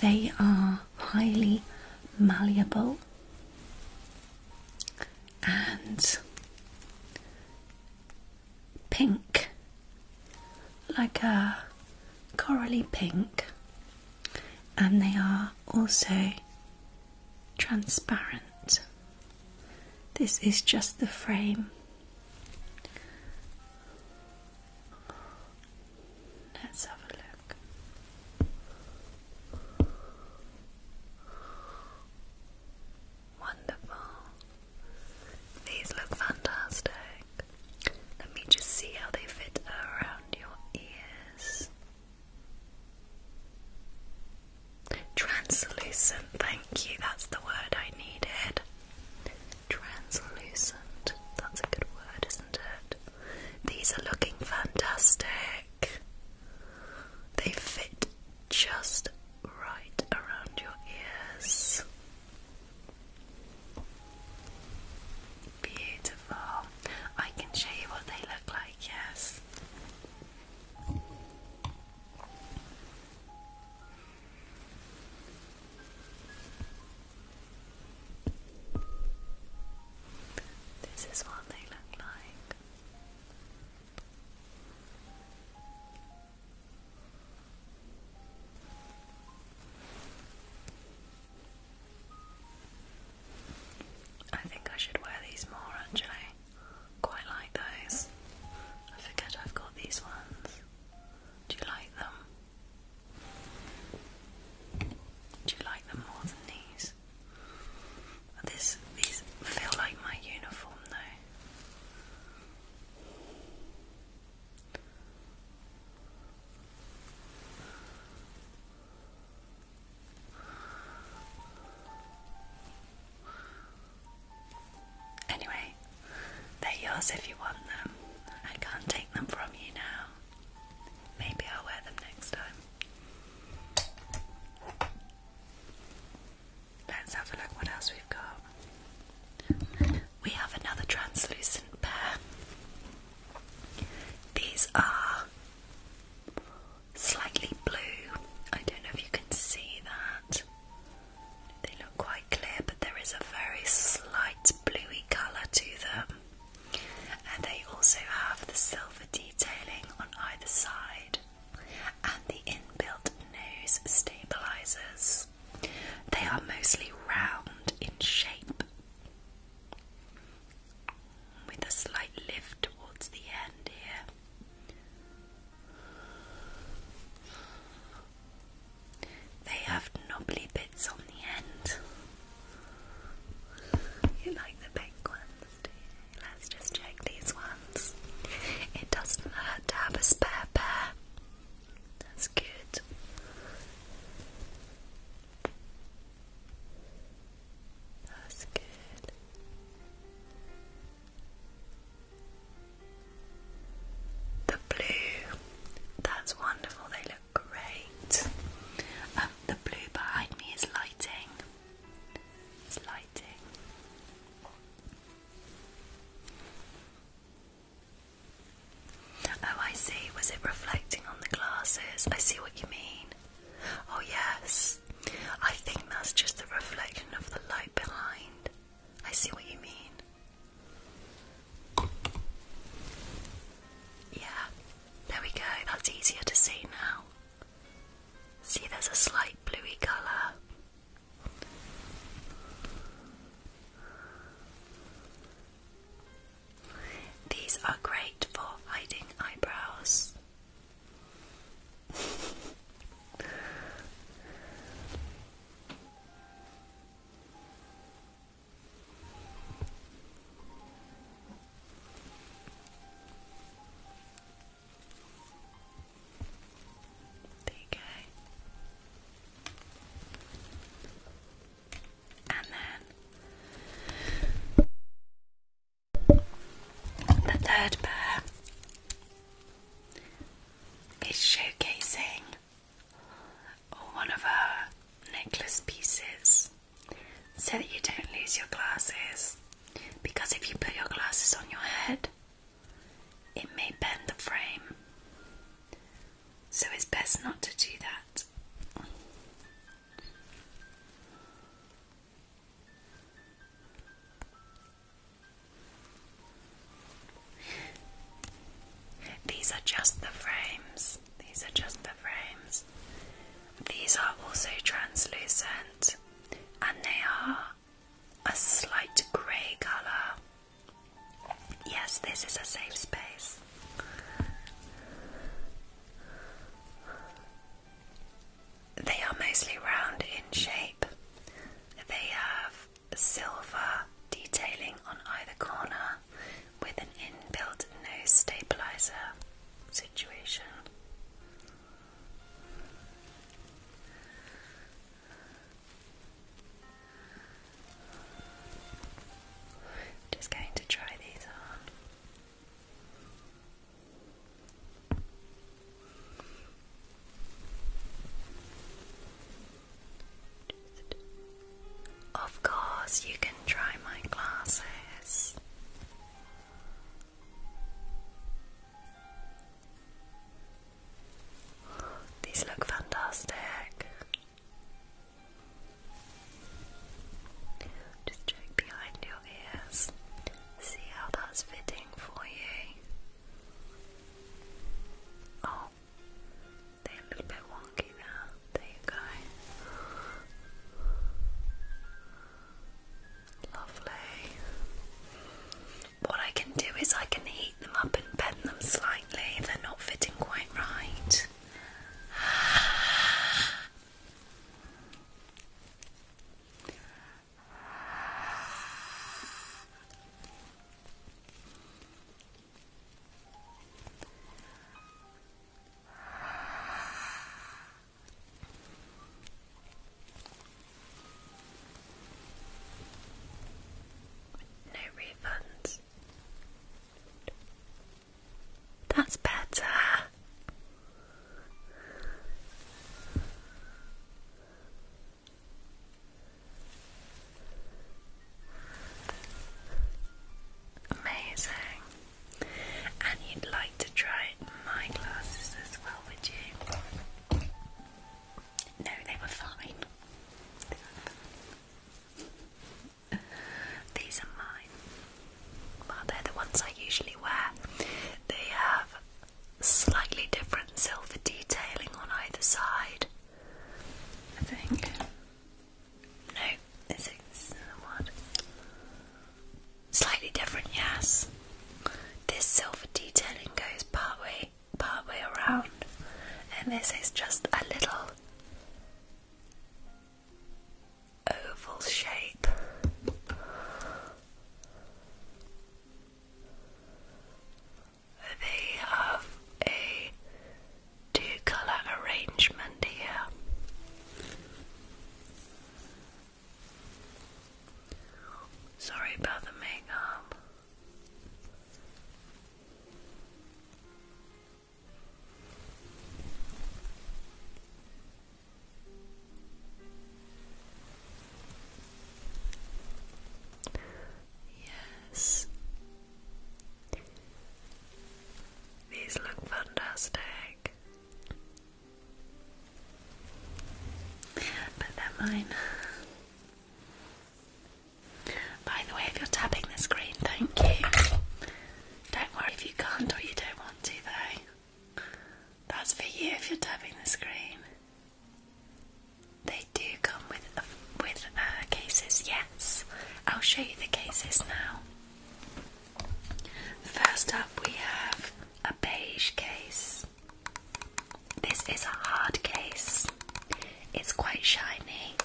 They are highly malleable and pink, like a corally pink, and they are also transparent. This is just the frame Let's have a look. Wonderful. These look fantastic. Let me just see how they fit around your ears. Translucent, thank you, that's the word I needed. Translucent, that's a good word, isn't it? These are looking fantastic. They fit just right around your ears. Beautiful. I can show you what they look like, yes. This is what they look like. I think I should wear these more actually. Quite like those. I forget I've got these ones. Do you like them? Do you like them more than these? This these feel like my uniform though. Anyway, they're yours if you want them. I can't take them from you now. Maybe I'll wear them next time. Let's have a look what else we've got. We have another translucent pair. These are slightly blue. I don't know if you can see that. They look quite clear, but there is a very slight bluey colour to them. And they also have the silver detailing on either side and the inbuilt nose stabilizers. They are mostly round in shape with a slight lift towards the end here. They have knobbly bits on the end. You like the pink ones, Let's just check these ones. It doesn't hurt to have a spare pair. That's good. That's good. The blue, that's wonderful, they look great. Um, the blue behind me is lighting. It's lighting. Oh, I see. Was it reflecting on the glasses? I see what you mean. Oh, yes. I think that's just the reflection of the light behind. I see what you mean. Yeah, there we go, that's easier to see now. See, there's a slight bluey colour. These are great for hiding eyebrows. There you go. And then the third pair is showcasing or one of her necklace pieces so that you don't lose your glasses. Because if you put your glasses on your head, it may bend the frame. So it's best not to do that. These are just the frames. These are just the frames. These are also translucent and they are a slight grey colour. Yes, this is a safe space. They are mostly round in shape. They have of silver detailing on either corner with an inbuilt nose stabilizer situation. Just going to try these on. Of course, you can try my glasses. These look fantastic. Just check behind your ears, see how that's fitting for you. Oh, they're a little bit wonky now. There you go. Lovely. What I can do is I can heat them up and bend them slightly they're not fitting quite right. No refunds. That's better. Amazing. And you'd like to try my glasses as well, would you? No, they were fine. These are mine. Well, they're the ones I usually wear. They have slightly different silver detailing on either side. I think. No, this is what? Slightly different, yes. This silver detailing goes part way, part way around, and this is just a little oval shape they have a two colour arrangement here. Sorry about the makeup. Yes, these look fantastic. But they're mine. By the way, if you're tapping the screen, thank you. Don't worry if you can't or you don't want to, though. That's for you if you're tapping the screen. They do come with uh, with uh, cases, yes. I'll show you the cases now. First up, we have a beige case. This is a hard case. It's quite shiny.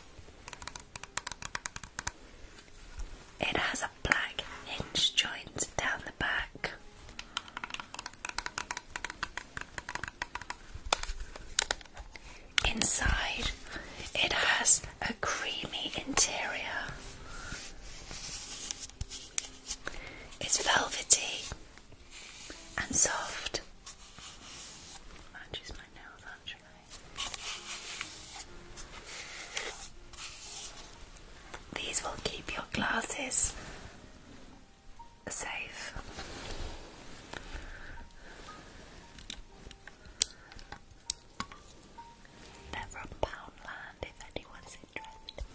It has a black hinge joint down the back. Inside, it has a creamy interior. It's velvety and soft. These will keep your glasses safe. They're from if anyone's interested.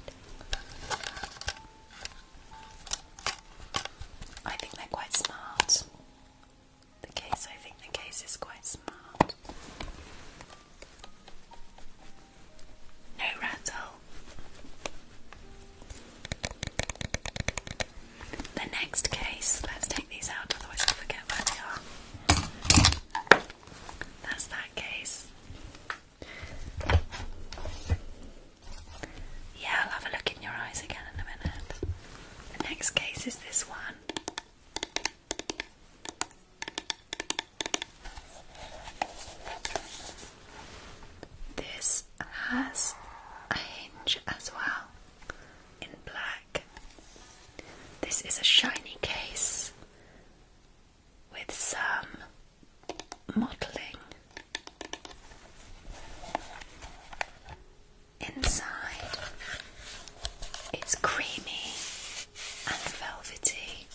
I think they're quite smart. The case, I think the case is quite smart. No rattle. The next case, let's take these out, otherwise I'll forget where they are. That's that case. Yeah, I'll have a look in your eyes again in a minute. The next case is this one. This has a hinge as well in black. This is a shiny case with some modelling inside. It's creamy and velvety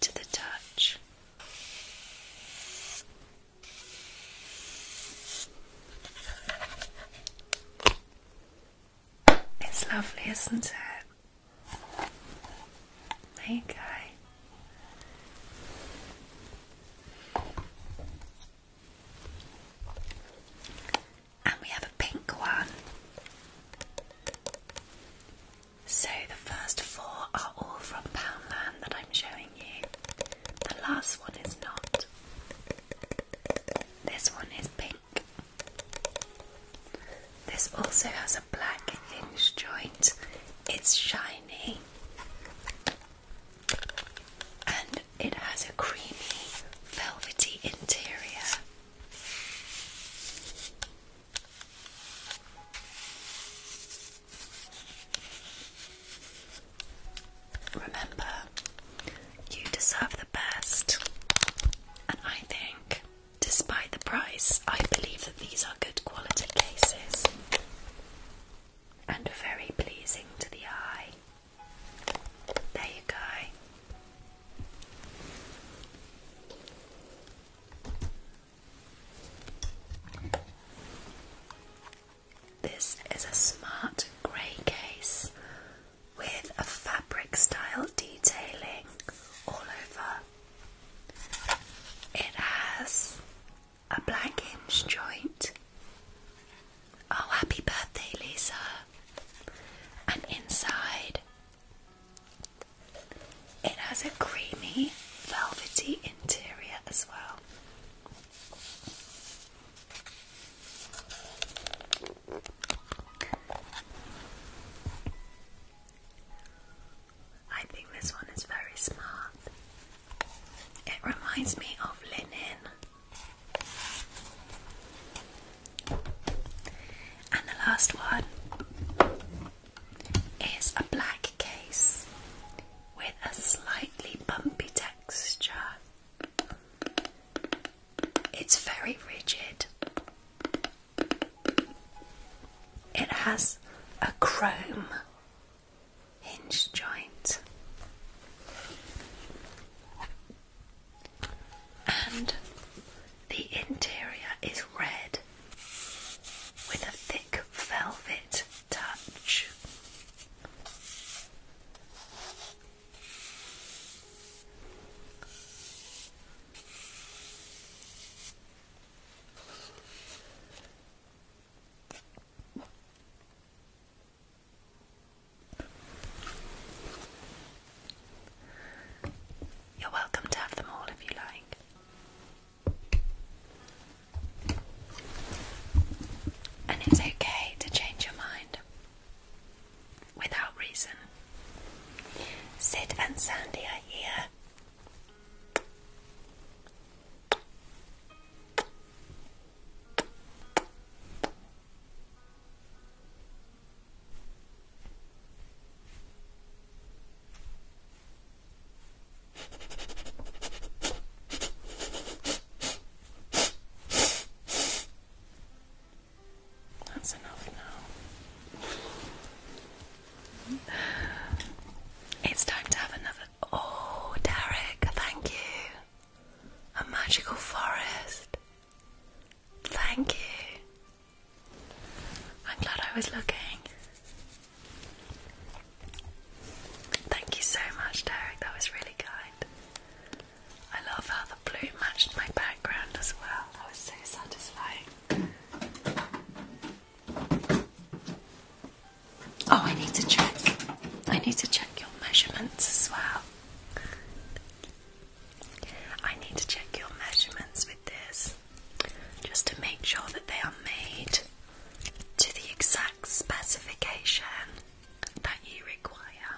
to the touch. It's lovely, isn't it? There And we have a pink one. So the first four are all from Poundland that I'm showing you. The last one is not. This one is pink. This also has a black hinge joint. It's shiny. And it has a creamy, velvety interior. Remember, you deserve the best. And I think, despite the price, I believe that these are good quality cases and very pleasing to the eye. There you go. This is a smart grey case with a fabric style detailing all over. It has a black hinge joint. Oh, happy birthday, Lisa! And inside, it has a creamy, velvety interior as well. I think this one is very smart. It reminds me of linen. And the last one is a black case with a slightly bumpy texture it's very rigid. It has a chrome hinge joint. And the interior is red with a thick velvet you're welcome to have them all if you like. And it's okay to change your mind without reason. Sid and Sandy are here. That's enough now. It's time to have another. Oh, Derek, thank you. A magical forest. Thank you. I'm glad I was looking. Thank you so much, Derek. That was really kind. I love how the blue matched my background as well. That was so satisfying. Oh, I need to check. I need to check your measurements as well. I need to check your measurements with this just to make sure that they are made to the exact specification that you require.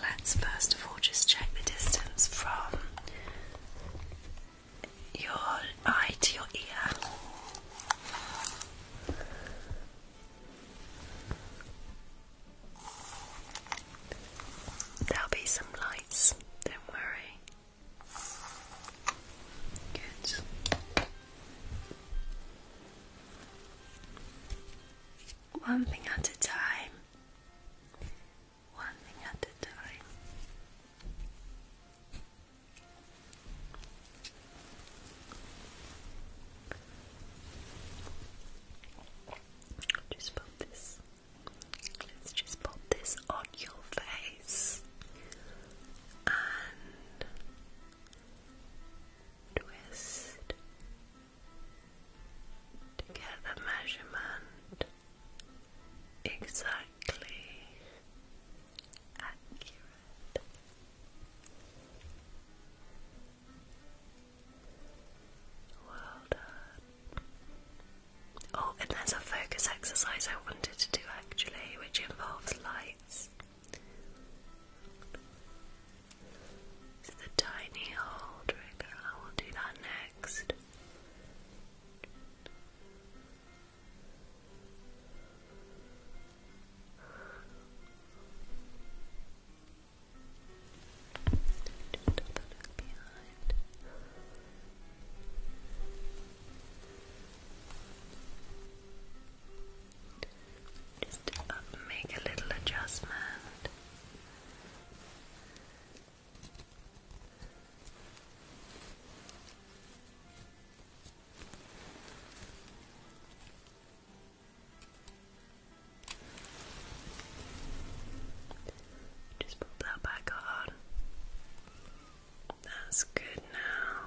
Let's first of all just check the distance from your eye to your ear. There'll be some lights, don't worry. Good. One thing at a time. One thing at a time. Just pop this. Let's just pop this on your face and twist to get the measurement exactly accurate. Well done. Oh, and there's a focus exercise I wanted to do actually, which involves lights. It's the tiny hole trigger. I will do that next. Just have a behind. Just make a little adjustment. Just put that back on. That's good now.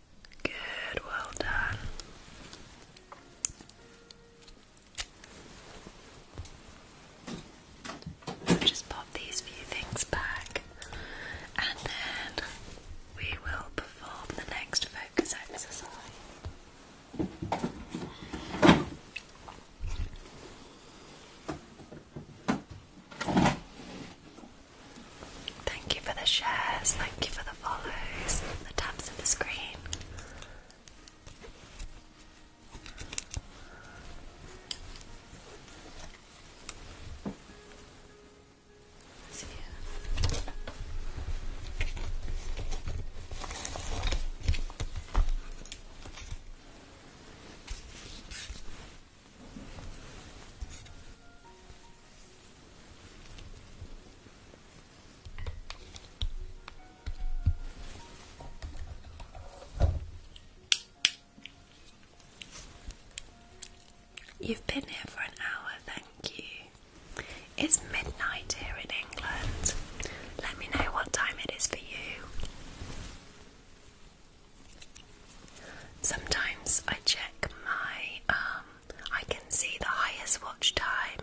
Good, well done. just pop these few things back and then we will perform the next focus exercise. Thank you for the shares, thank you for the follows, the taps of the screen. See you. You've been here for an hour, thank you. It's midnight here in England. Let me know what time it is for you. Sometimes I check my, um, I can see the highest watch time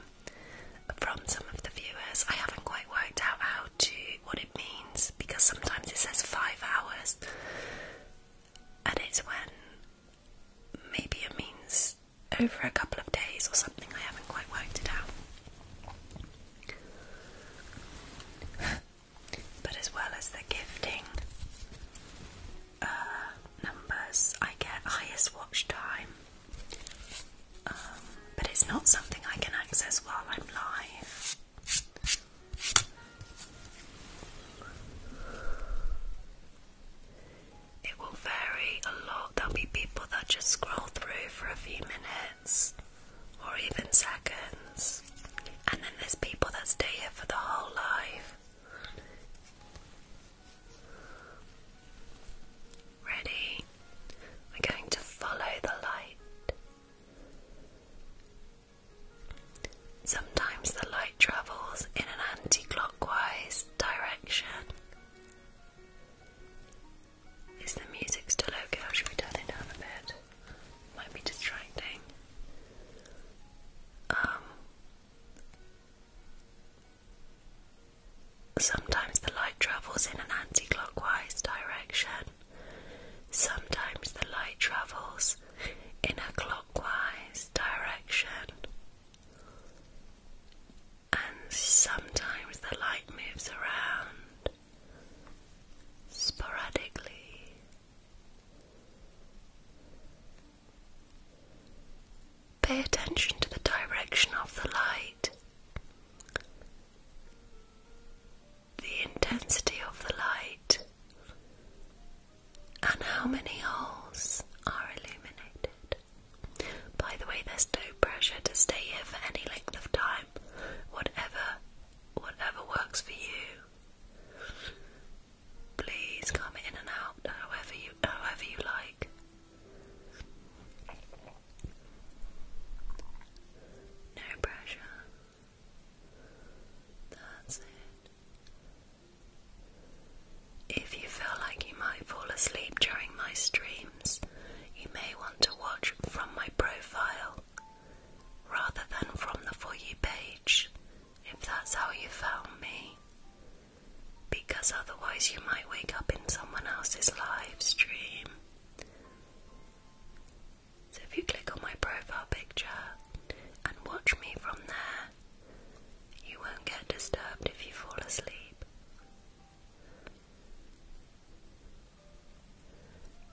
from some of the viewers. I haven't quite worked out how to, what it means, because sometimes it says five hours, and it's when maybe it means over a couple of days or something. I haven't quite worked it out. But as well as the gifting uh, numbers, I get highest watch time. Um, but it's not something I can access while I'm live. It will vary a lot. There'll be people that just scroll through for a few minutes or even seconds. And then there's people that stay here for the whole life. Ready? We're going to follow the light. Sometimes the light travels in an anti clockwise direction. Is the music still okay should we turn it down a bit? Might be distracting. Um, sometimes the light travels in an anti-clockwise direction. Sometimes the light travels in a clockwise direction. And sometimes the light moves around sporadically. Pay attention to the direction of the light. The intensity of the light and how many holes are illuminated. By the way, there's no pressure to stay here for any length of time. Whatever whatever works for you. Please come in and out however you however you like. No pressure. That's it. If you feel like you might fall asleep during my streams, you may want to watch from my profile rather than from the For You page, if that's how you found me. Because otherwise, you might wake up in someone else's live stream. So, if you click on my profile picture and watch me from there, you won't get disturbed if you fall asleep.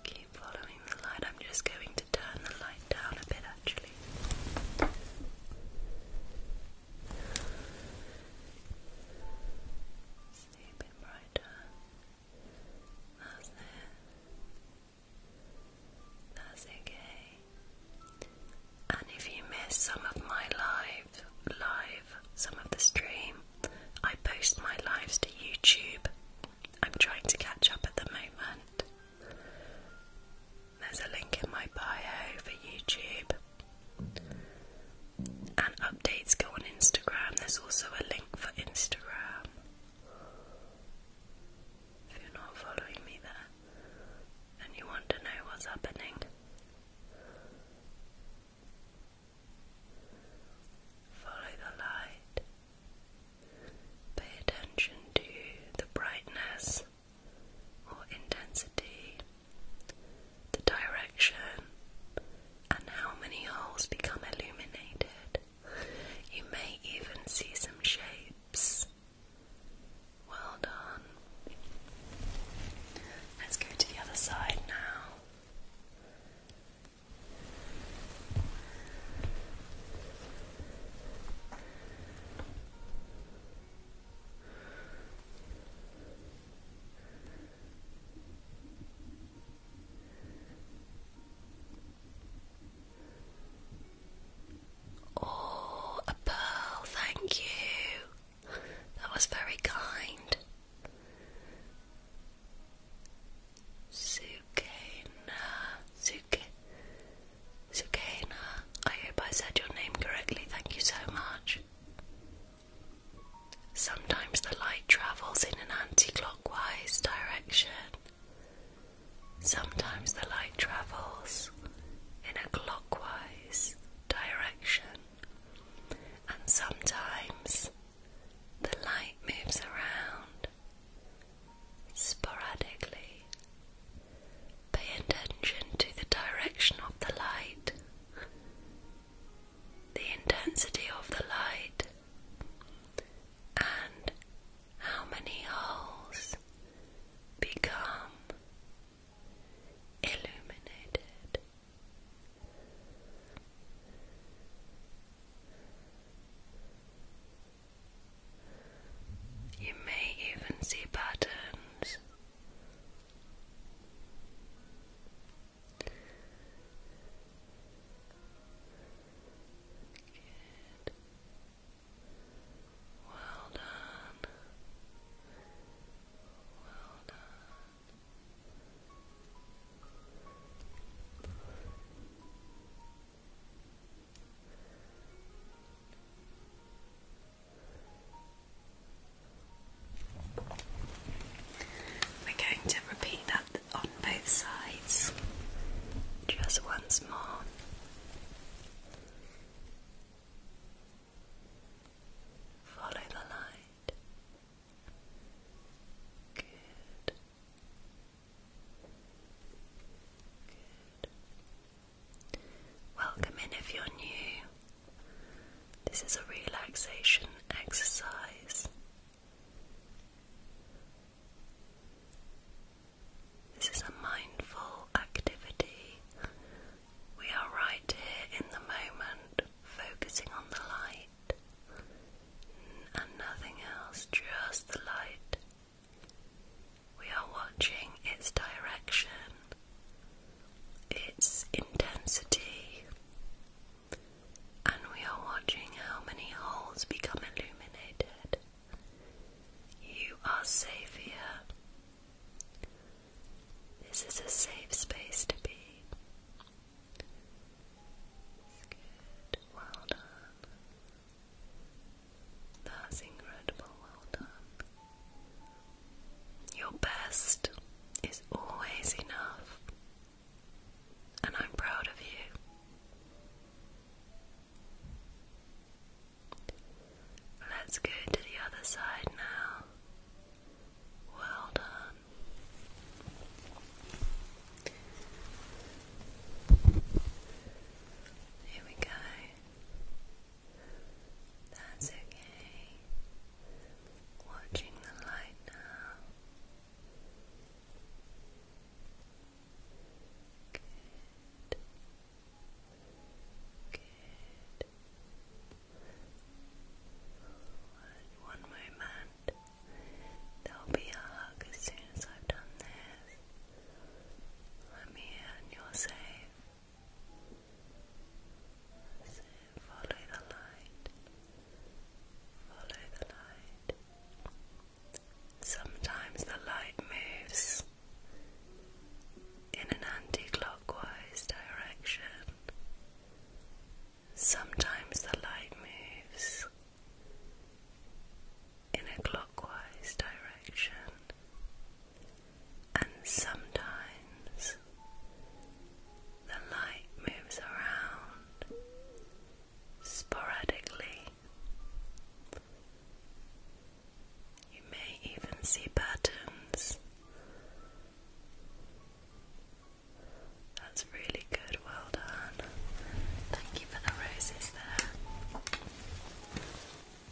Keep following the light. I'm just going to turn the light down a bit actually quickly. brighter. That's it. That's okay. And if you miss some of my live, live, some of the stream, I post my lives to YouTube. I'm trying to catch up at the moment. There's a link in my bio for YouTube. And updates go on Instagram. There's also a link for Instagram. If you're not following me there and you want to know what's happening, follow the light. Pay attention to the brightness or intensity, the direction, and how many holes become illuminated. You may even see some shapes. Well done. Let's go to the other side now. Oh, a pearl, thank you. That was very kind. Sukena, Suke, Zucchina, I hope I said your name correctly, thank you so much. Sometimes the light travels in an anti clockwise direction. Sometimes the light travels in a clockwise direction. And sometimes the light moves around sporadically. Pay attention to the direction of the light, the intensity of the light, and how many holes become illuminated. You may even see patterns. Good. Well done. Well done. We're going to repeat that on both sides just once more. Follow the light. Good. Good. Welcome in if you're new. This is a relaxation exercise. This is a mindful activity. We are right here in the moment, focusing on the light and nothing else, just the light. We are watching its direction, its intensity, and we are watching how many holes become illuminated. You are safe here. This is a safe space to be. good. Well done. That's incredible, well done. Your best is always enough, and I'm proud of you. Let's go to the other side now. Well done. Here we go. That's okay. Watching the light now. Good. Good. one moment. There'll be a hug as soon as I've done this. Let me in, you're safe. So follow the light, follow the light. Sometimes the light moves in an anti clockwise direction, sometimes the light moves in a clockwise direction and sometimes the light moves around sporadically. You may even see patterns. That's really good, well done. Thank you for the roses there.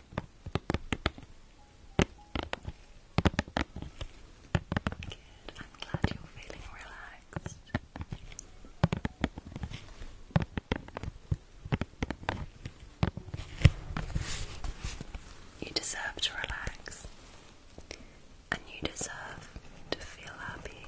I'm glad you're feeling relaxed. You deserve to relax, and you deserve to feel happy.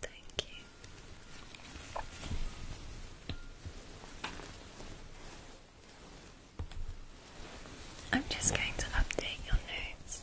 Thank you. I'm just going to update your notes.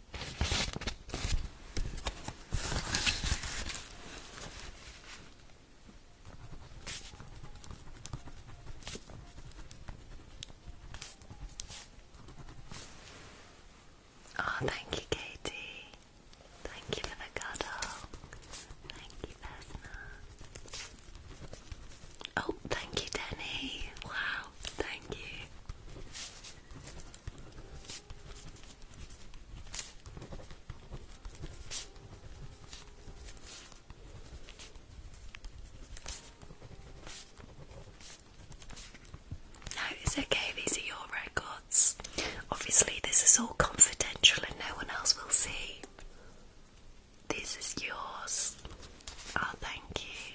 Oh, thank you, Katie. Thank you for the cuddle. Thank you, Vesna. Oh, thank you, Denny. Wow, thank you. No, it's okay, these are your records. Obviously, this is all confidential and no one else will see. This is yours. Oh, thank you.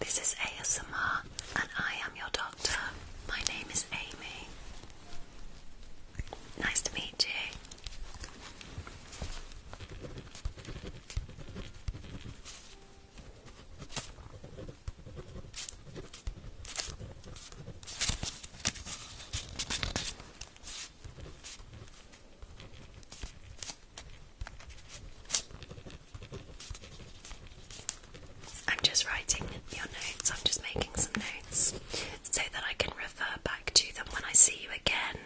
This is ASMR, and I am your doctor. My name is Amy. Nice to meet you. I'm just writing your notes, I'm just making some notes so that I can refer back to them when I see you again.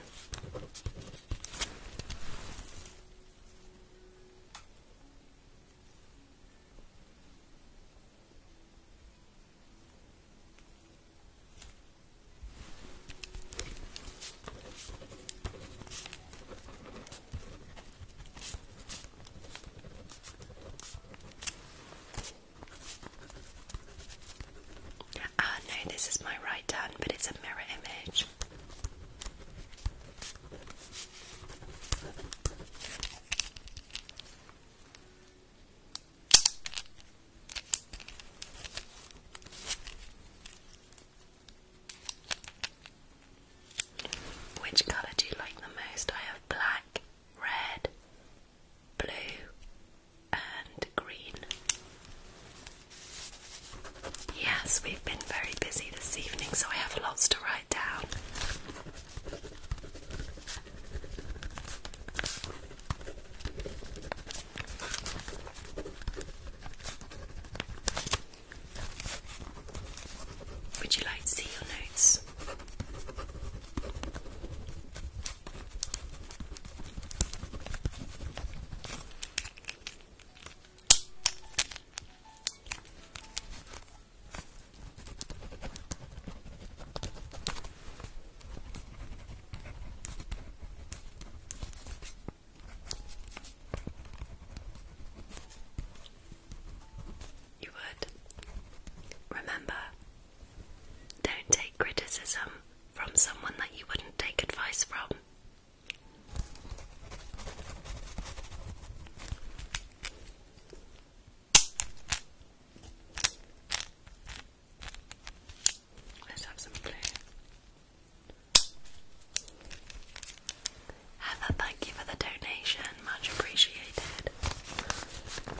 Ah, no, this is my right hand, but it's a mirror image. Which colour do you like the most? I have black red, blue, and green. Yes, we've been very busy this evening, so I have lots to write down. Would you like to see your notes? You would remember don't take criticism from someone that you wouldn't take advice from. Let's have some blue. Heather, thank you for the donation, much appreciated. 2023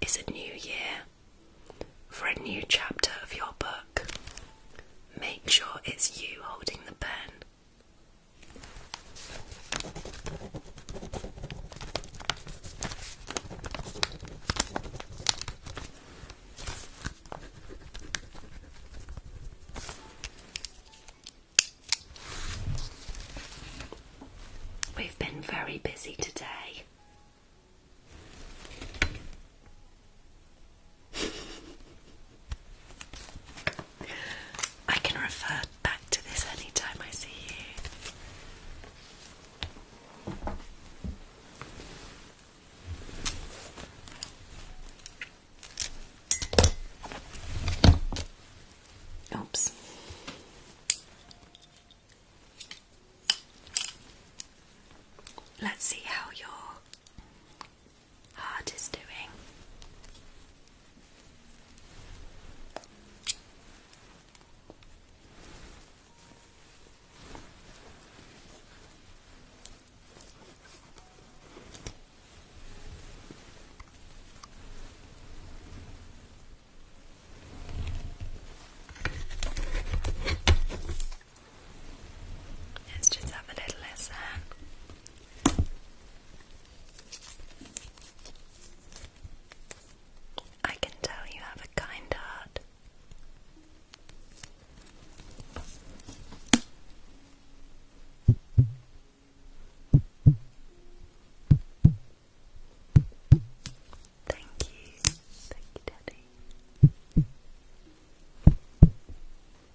is a new year for a new chapter of your book. Make sure it's you holding the pen. We've been very busy today. I can refer back to this anytime I see you. Oops. Let's see how your heart is doing. Let's just have a little listen. I can tell you have a kind heart. Thank you. Thank you, Daddy.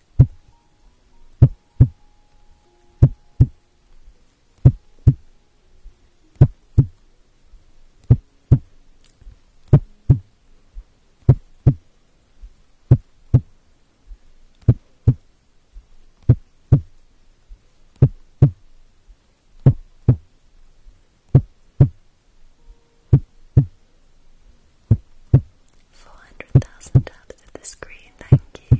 400,000 taps of the screen, thank you.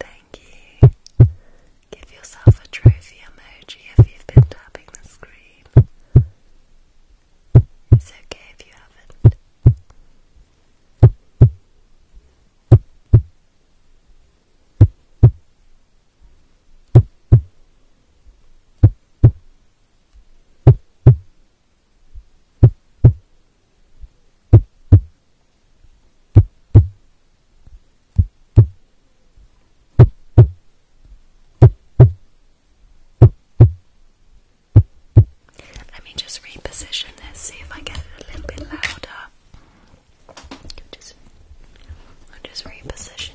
Thank you. Give yourself a trophy emoji if you've been tapping the screen. It's okay if you haven't. Let me just reposition this, see if I get a little bit louder. I'll just reposition it.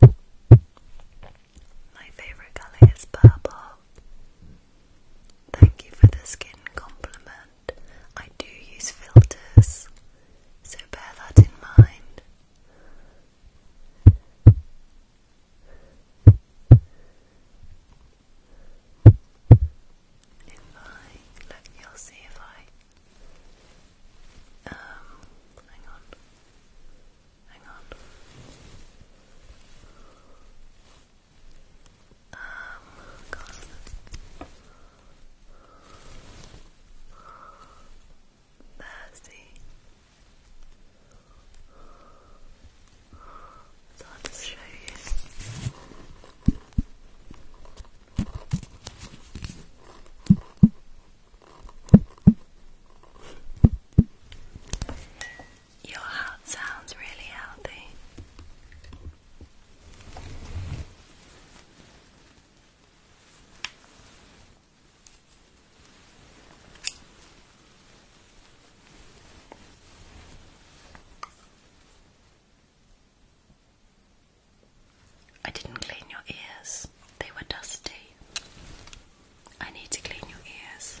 my favorite color is purple. Thank you for the skin compliment. I do use filters, so bear that in mind. If I look, you see if I um, hang on. Hang on. Um, God. Thirsty. So I'll just show you. Your heart sounds really healthy. I didn't clean your ears, they were dusty. I need to clean your ears.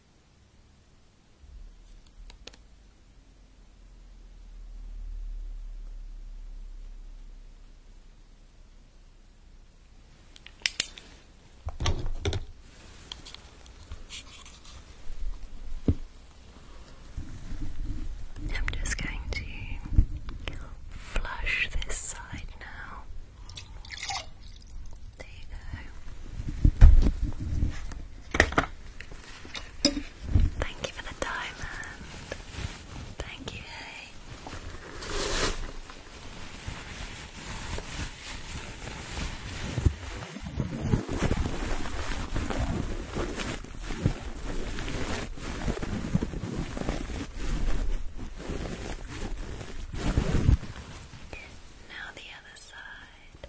I'm just going to flush this side now. There you go. Thank you for the diamond. Thank you, Now the other side.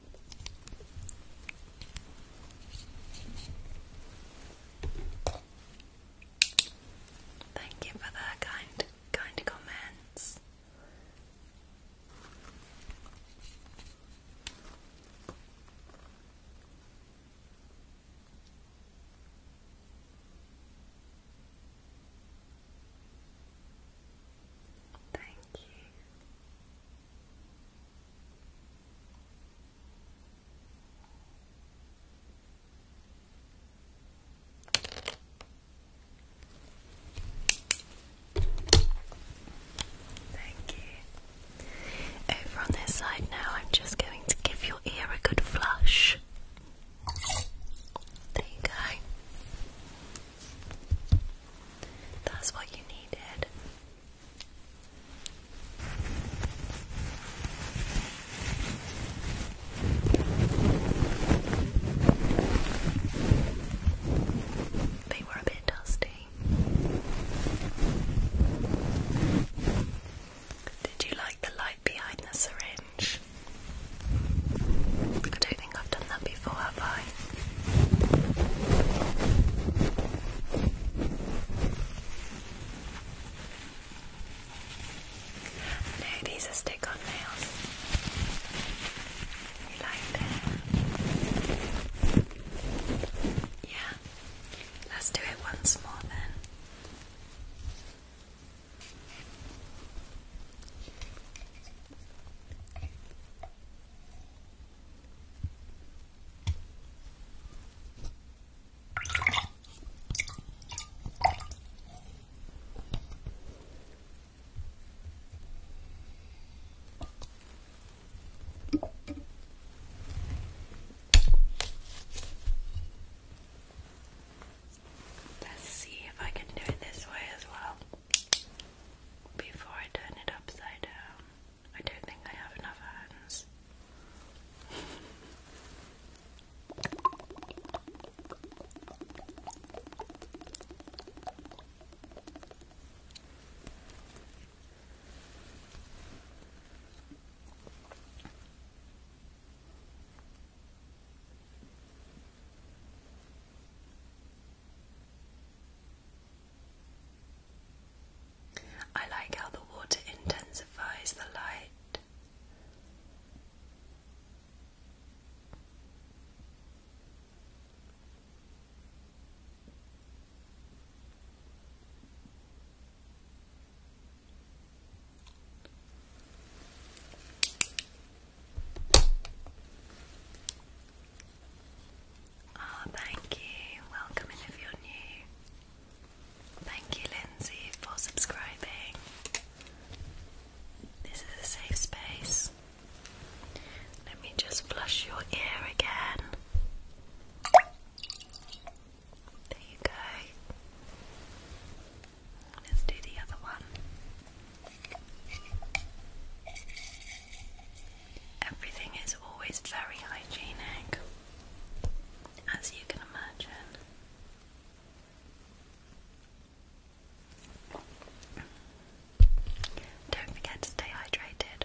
Thank you for the kind, kind comments. Thank you. Thank you. Over on this side now, I'm just going to give your ear a good flush. There you go. That's what you needed. They were a bit dusty. Did you like the light behind the syringe? I do think I've done that before, have I? No, these are stick on nails. You like them? Yeah. Let's do it once more then. Let's see if I can do it this way as well before I turn it upside down. I don't think I have enough hands. I like how the water intensifies the light. Oh, thank you. Welcome if you're new. Thank you, Lindsay, for subscribing. This is a safe space. Let me just flush your ear again. There you go. Let's do the other one. Everything is always very hygienic, as you can imagine. Don't forget to stay hydrated.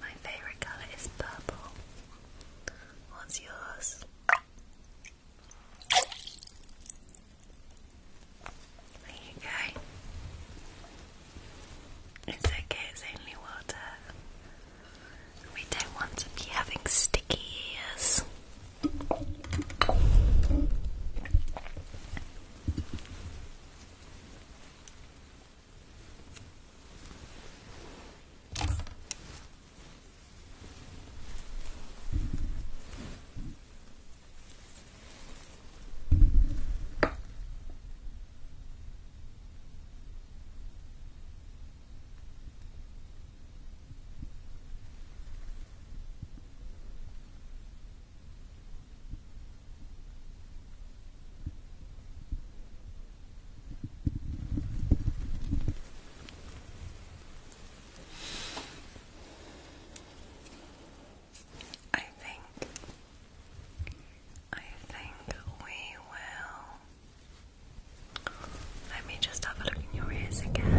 My favorite color is purple. What's yours? There you go. It's okay, it's only water. We don't want to be having sticky ears. I think I think we will let me just have a look in your ears again.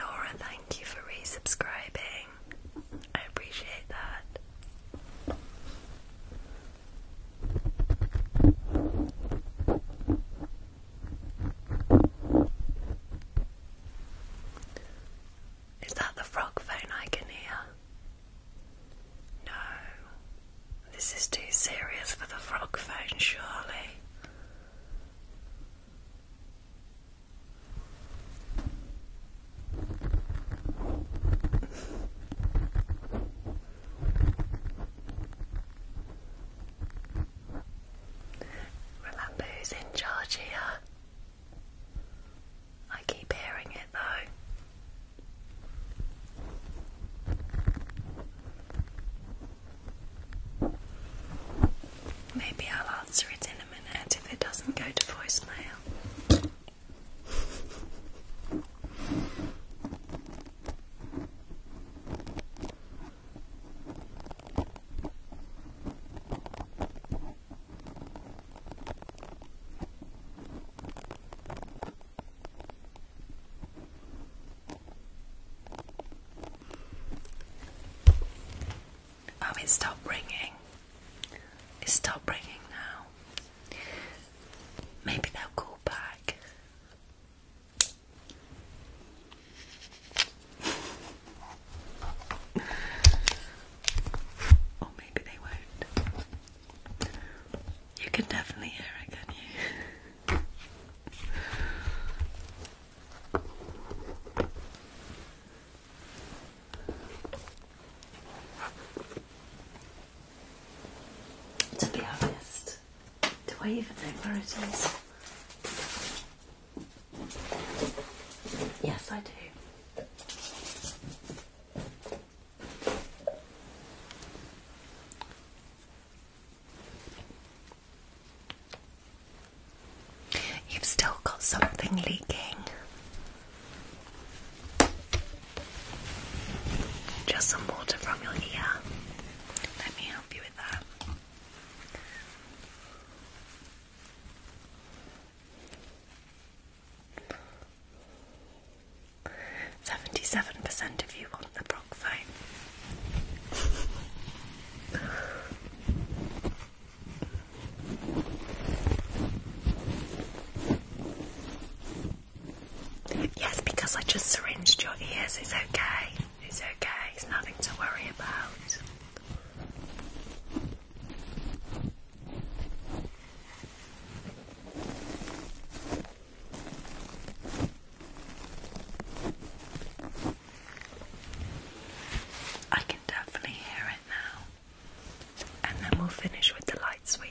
Laura, thank you for resubscribing. I appreciate that. Is that the frog phone I can hear? No. This is too serious for the frog phone, surely. Remember who's in charge here? I keep hearing it though. Maybe I'll answer it in a and if it doesn't go to voicemail. Oh, it's stopped ringing. It's stopped ringing now. Maybe they'll call back. [laughs] or maybe they won't. You can definitely hear it, can you? [laughs] To be honest, do I even know where it is? Yes, I do. You've still got something leaking. Just some water from your ear. Let me help you with that. Seventy-seven percent of you want the Brock phone. Yes, because I just syringed your ears, it's okay. It's okay, it's nothing to worry about. I can definitely hear it now. And then we'll finish with the light sweep.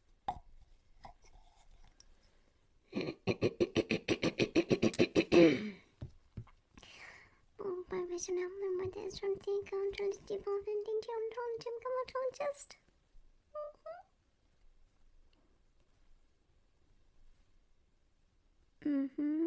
Professional member that's from the control Steve Alvin, Dingy on Tom Jim Comatontist. Mm-hmm.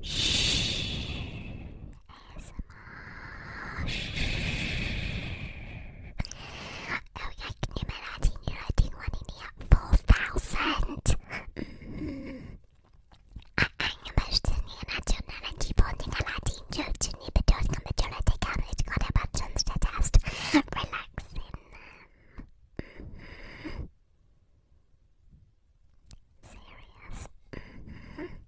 Yes. Shh. Oh, yeah, can you imagine you're doing one in here? 4000! Mm. A angemöchte nie nationale Tiefwohndinger Latin Jölchini bedeutet Majority Coverage Gott aber schon statt erst relaxing. Serious. Mm-hmm.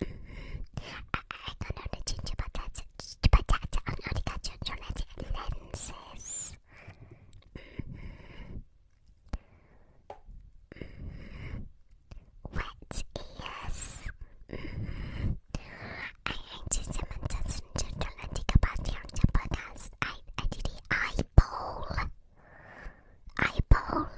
I, don't know the ginger potato, potato, I know Wet ears. I just some attention to the lentic about I, I did the eyeball. Eyeball.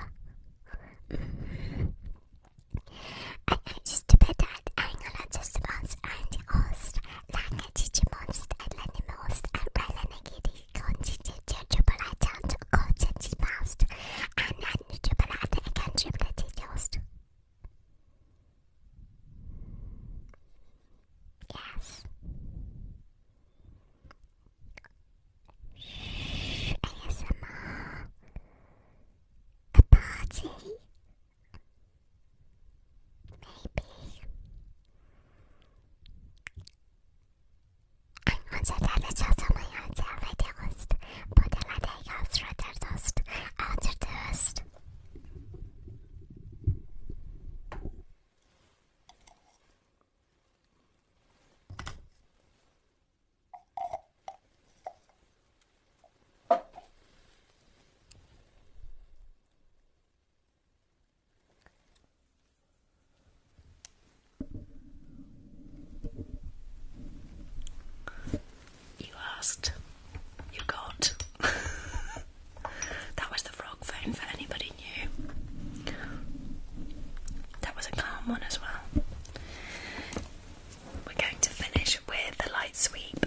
I used to bet that I'm not just once and host. Like a teacher and Digimon's Deadly Most, and the a Relenegidi, Constitute, Chocolate, and Coach and Mouse, and a Chocolate again, Chocolate Toast. Yes. ASMR a party. Maybe. Ein Konzert alle Schatzungen als Erweiterungst, Borderladeig als Retterdost, Alterdost. You asked, you got. [laughs] that was the frog phone for anybody new. That was a calm one as well. We're going to finish with a light sweep.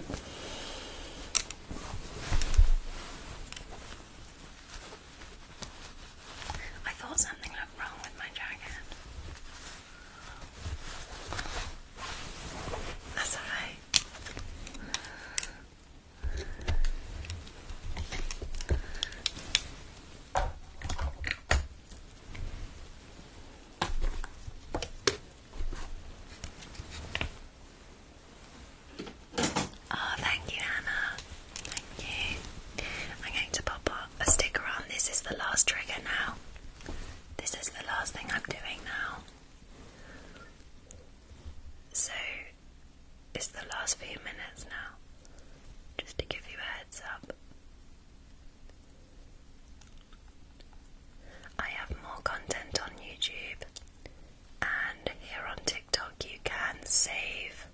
I thought something looked wrong with my jacket. That's alright. Oh, thank you, Hannah. Thank you. I'm going to pop a sticker on. This is the last trigger now. This is the last thing I'm doing now. So, it's the last few minutes now, just to give you a heads up. I have more content on YouTube and here on TikTok you can save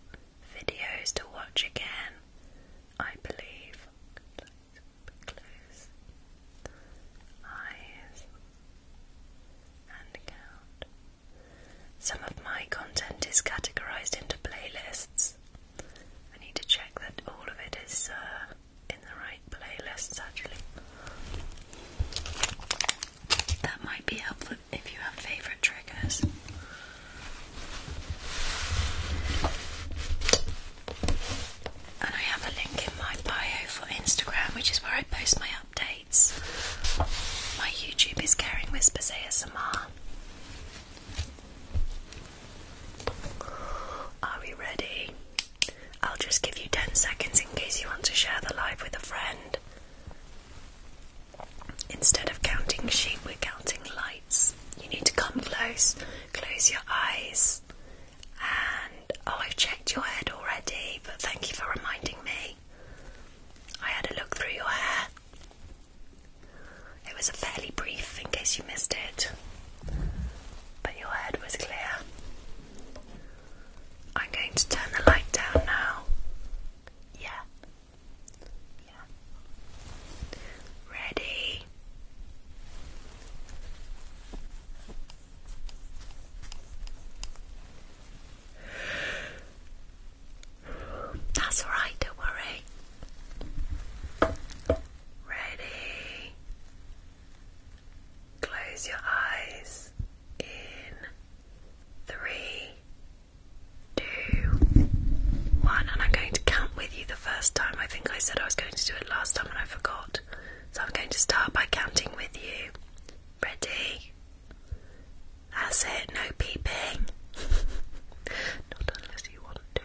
videos to watch again, I believe. eyes and count. Some of my content is categorized into playlists. I need to check that all of it is uh, in the right playlists actually. That might be helpful if you have favourite triggers. And I have a link in my bio for Instagram, which is where I post my updates. My YouTube is Caring Whispers ASMR. Are we ready? I'll just give you 10 seconds in case you want to share the live with a friend. Instead of counting sheep, we're counting lights. You need to come close, close your eyes, and oh, I've checked your head already, but thank you for reminding me. I had a look through your hair. It was a fairly brief in case you missed it, but your head was clear. I'm going to turn the light down now. Yeah. Yeah. Ready? That's alright, don't worry. Ready? Close your eyes in three, two, one, and I'm going to count with you the first time. I think I said I was going to do it last time and I forgot. So I'm going to start by counting with you. Ready? That's it, no peeping. [laughs] Not unless you want to.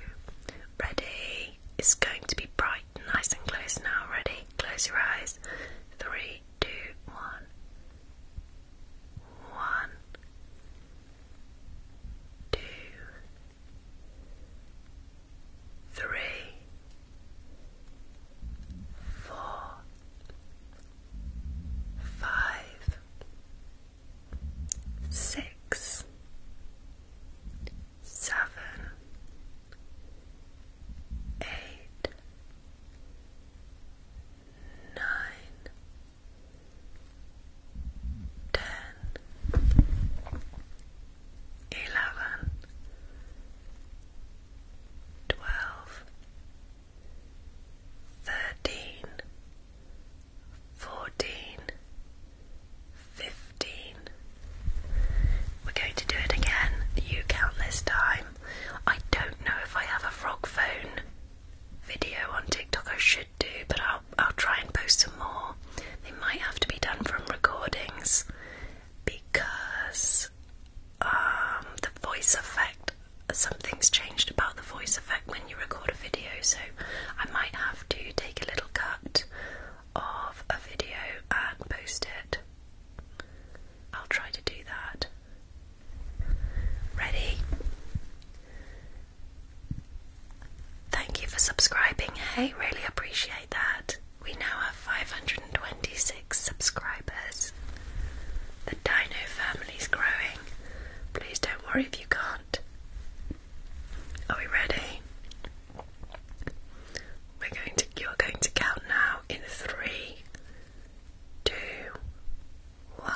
Ready? It's going to be bright, nice and close now. Ready? Close your eyes. Three, two, one. One, two, three, four, five, six, seven, eight, nine, ten, eleven, twelve, thirteen, fourteen fifteen. We're going to do it again. You count this time. I don't know if I have a frog phone video on TikTok. I should do, but I'll I'll try and post some more. They might have to be done from recordings because um the voice effect something's changed about the voice effect when you record a video so I might have to take a little cut of a video and post it. I'll try to do that. Ready? Thank you for subscribing. Hey, really appreciate that. We now have 526 subscribers. The Dino family's growing. Please don't worry if you can't. Are we ready? We're going to you're going to count now in three, two, one.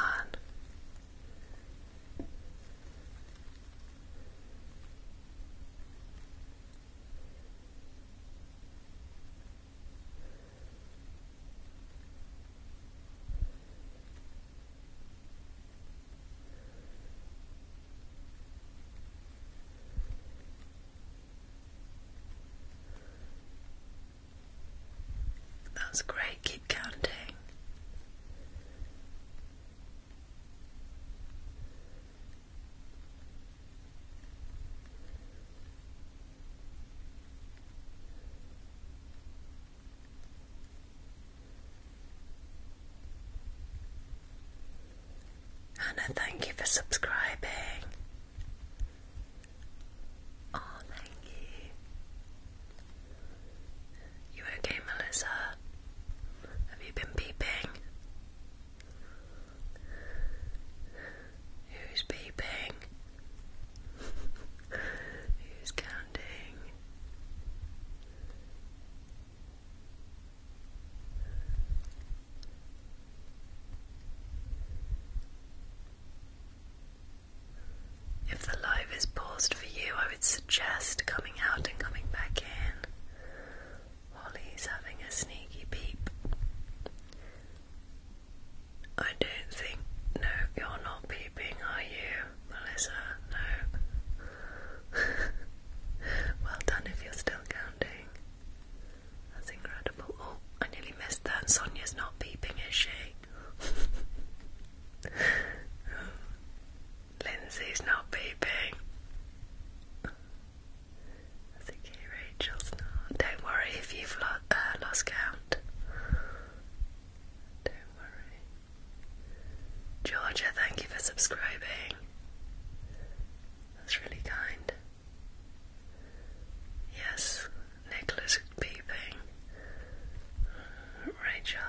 That's great, keep counting. Hannah, thank you for subscribing. Oh, thank you. You okay, Melissa? Have you been peeping? Who's peeping? [laughs] Who's counting? If the live is paused for you, I would suggest coming out and coming back in. Holly's having a sneaky peep. I don't think. No, you're not peeping, are you, Melissa? No. [laughs] Well done if you're still counting. That's incredible. Oh, I nearly missed that. Sonia's not peeping, is she? oh, [laughs] Lindsay's not peeping. okay, Rachel's not. Don't worry if you've uh, lost count. Don't worry. Georgia, thank you for subscribing. That's really kind. Yes, Nicholas Peeping. Rachel,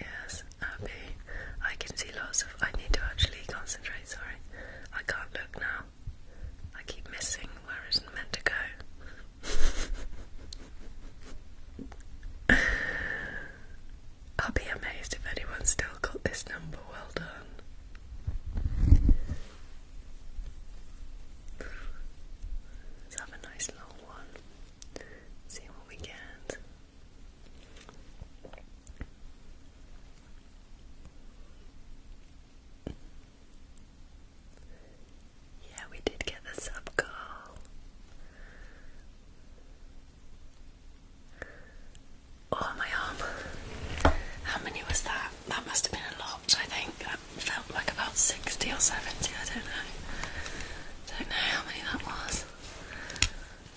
yes, Abby. I can see lots of. I need to actually concentrate, sorry. I can't look now. I keep missing where it's meant to go. [laughs] I'll be amazed if anyone's still got this number. Well done. Let's have a nice long one. See what we get. Yeah, we did get the sub call. Oh, my arm. How many was that? That must have been a lot, I think. That felt like about 60 or 70, I don't know. Don't know how many that was.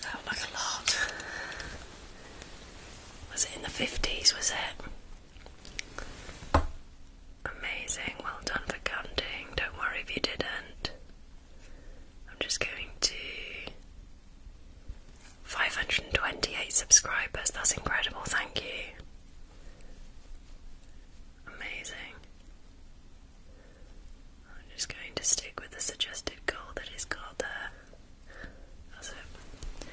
Felt like a lot. Was it in the 50s, was it? Amazing, well done for counting. Don't worry if you didn't. I'm just going to 528 subscribers, that's incredible, thank you. Amazing. I'm just going to stick with the suggested goal that is got there. That's it.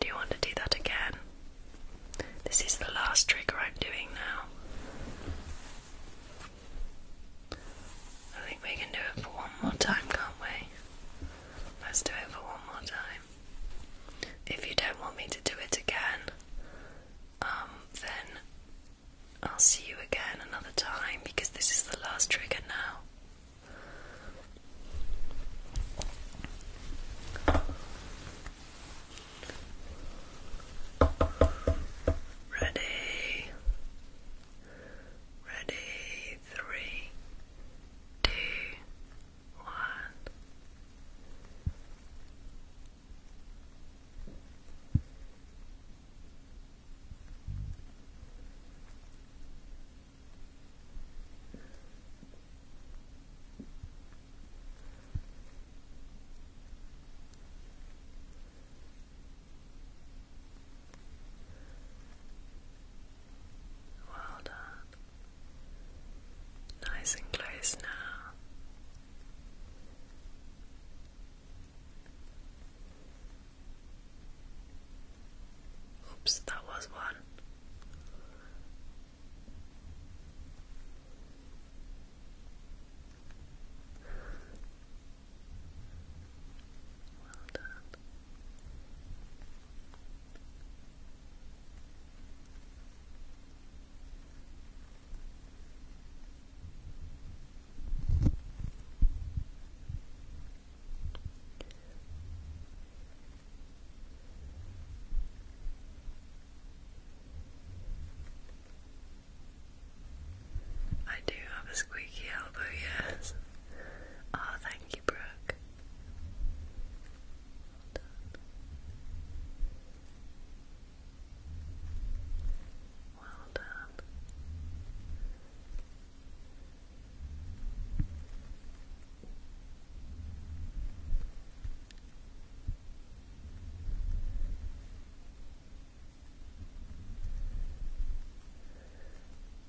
Do you want to do that again? This is the last trigger I'm doing now. I think we can do it for one more time, can't we? Let's do it for one more time. If you don't want me to do it again, um, then I'll see you again another time because this is the last trigger now. Ready, ready, three, two, one. Good. Well done. Nice and close now. Oops, that was one. Well done. I do have a squeaky elbow, yes. Oh, thank you, Brooke. Well done.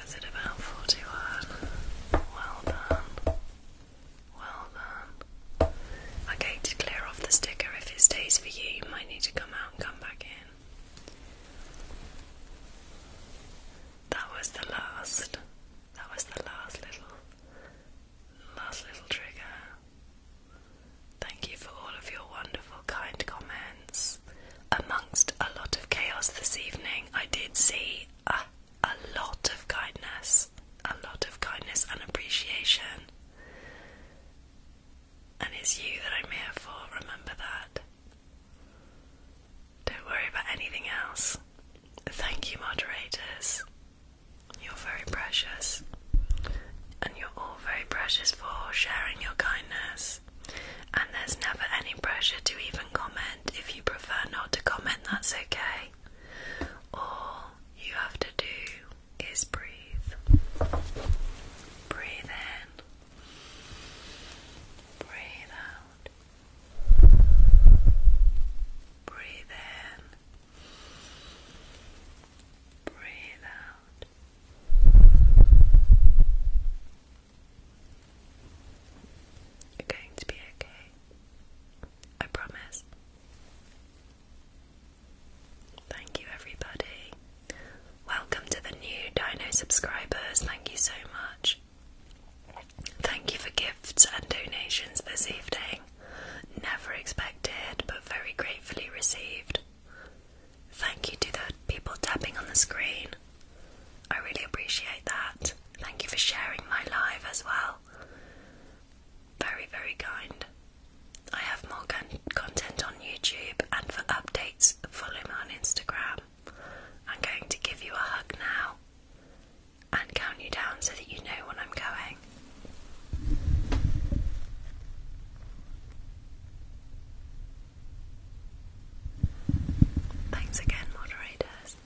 Was it about forty one? Well done. Well done. Okay, to clear off the sticker, if it stays for you, you might need to come out and come back in. That was the last. That was the last little, last little trigger. Thank you for all of your wonderful, kind comments. Amongst a lot of chaos this evening, I did see a, a lot of kindness, a lot of kindness and appreciation. And it's you that I'm here for, remember that. Don't worry about anything else. Thank you, moderators. You're very precious. And you're all very precious for sharing your kindness. And there's never any pressure to even comment. If you prefer not to comment, that's okay. All you have to do is breathe. Breathe in. Breathe out. Breathe in. Breathe out. You're going to be okay. I promise. Thank you, everybody. Welcome to the new Dino subscribers, thank you so much. Thank you for gifts and donations this evening. Never expected, but very gratefully received. Thank you to the people tapping on the screen. I really appreciate that. Thank you for sharing my live as well. Very, very kind. I have more content on YouTube and for updates, follow me on Instagram. I'm going to give you a hug now and count you down so that you know when I'm going. Thanks again, moderators.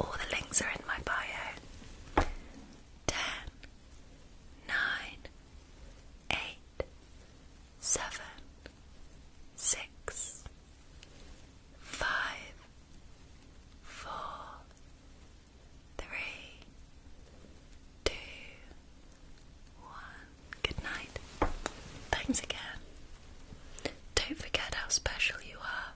All the links are in my bio. Ten, nine, eight, seven, six, five, four, three, two, one. Good night. Thanks again. Don't forget how special you are.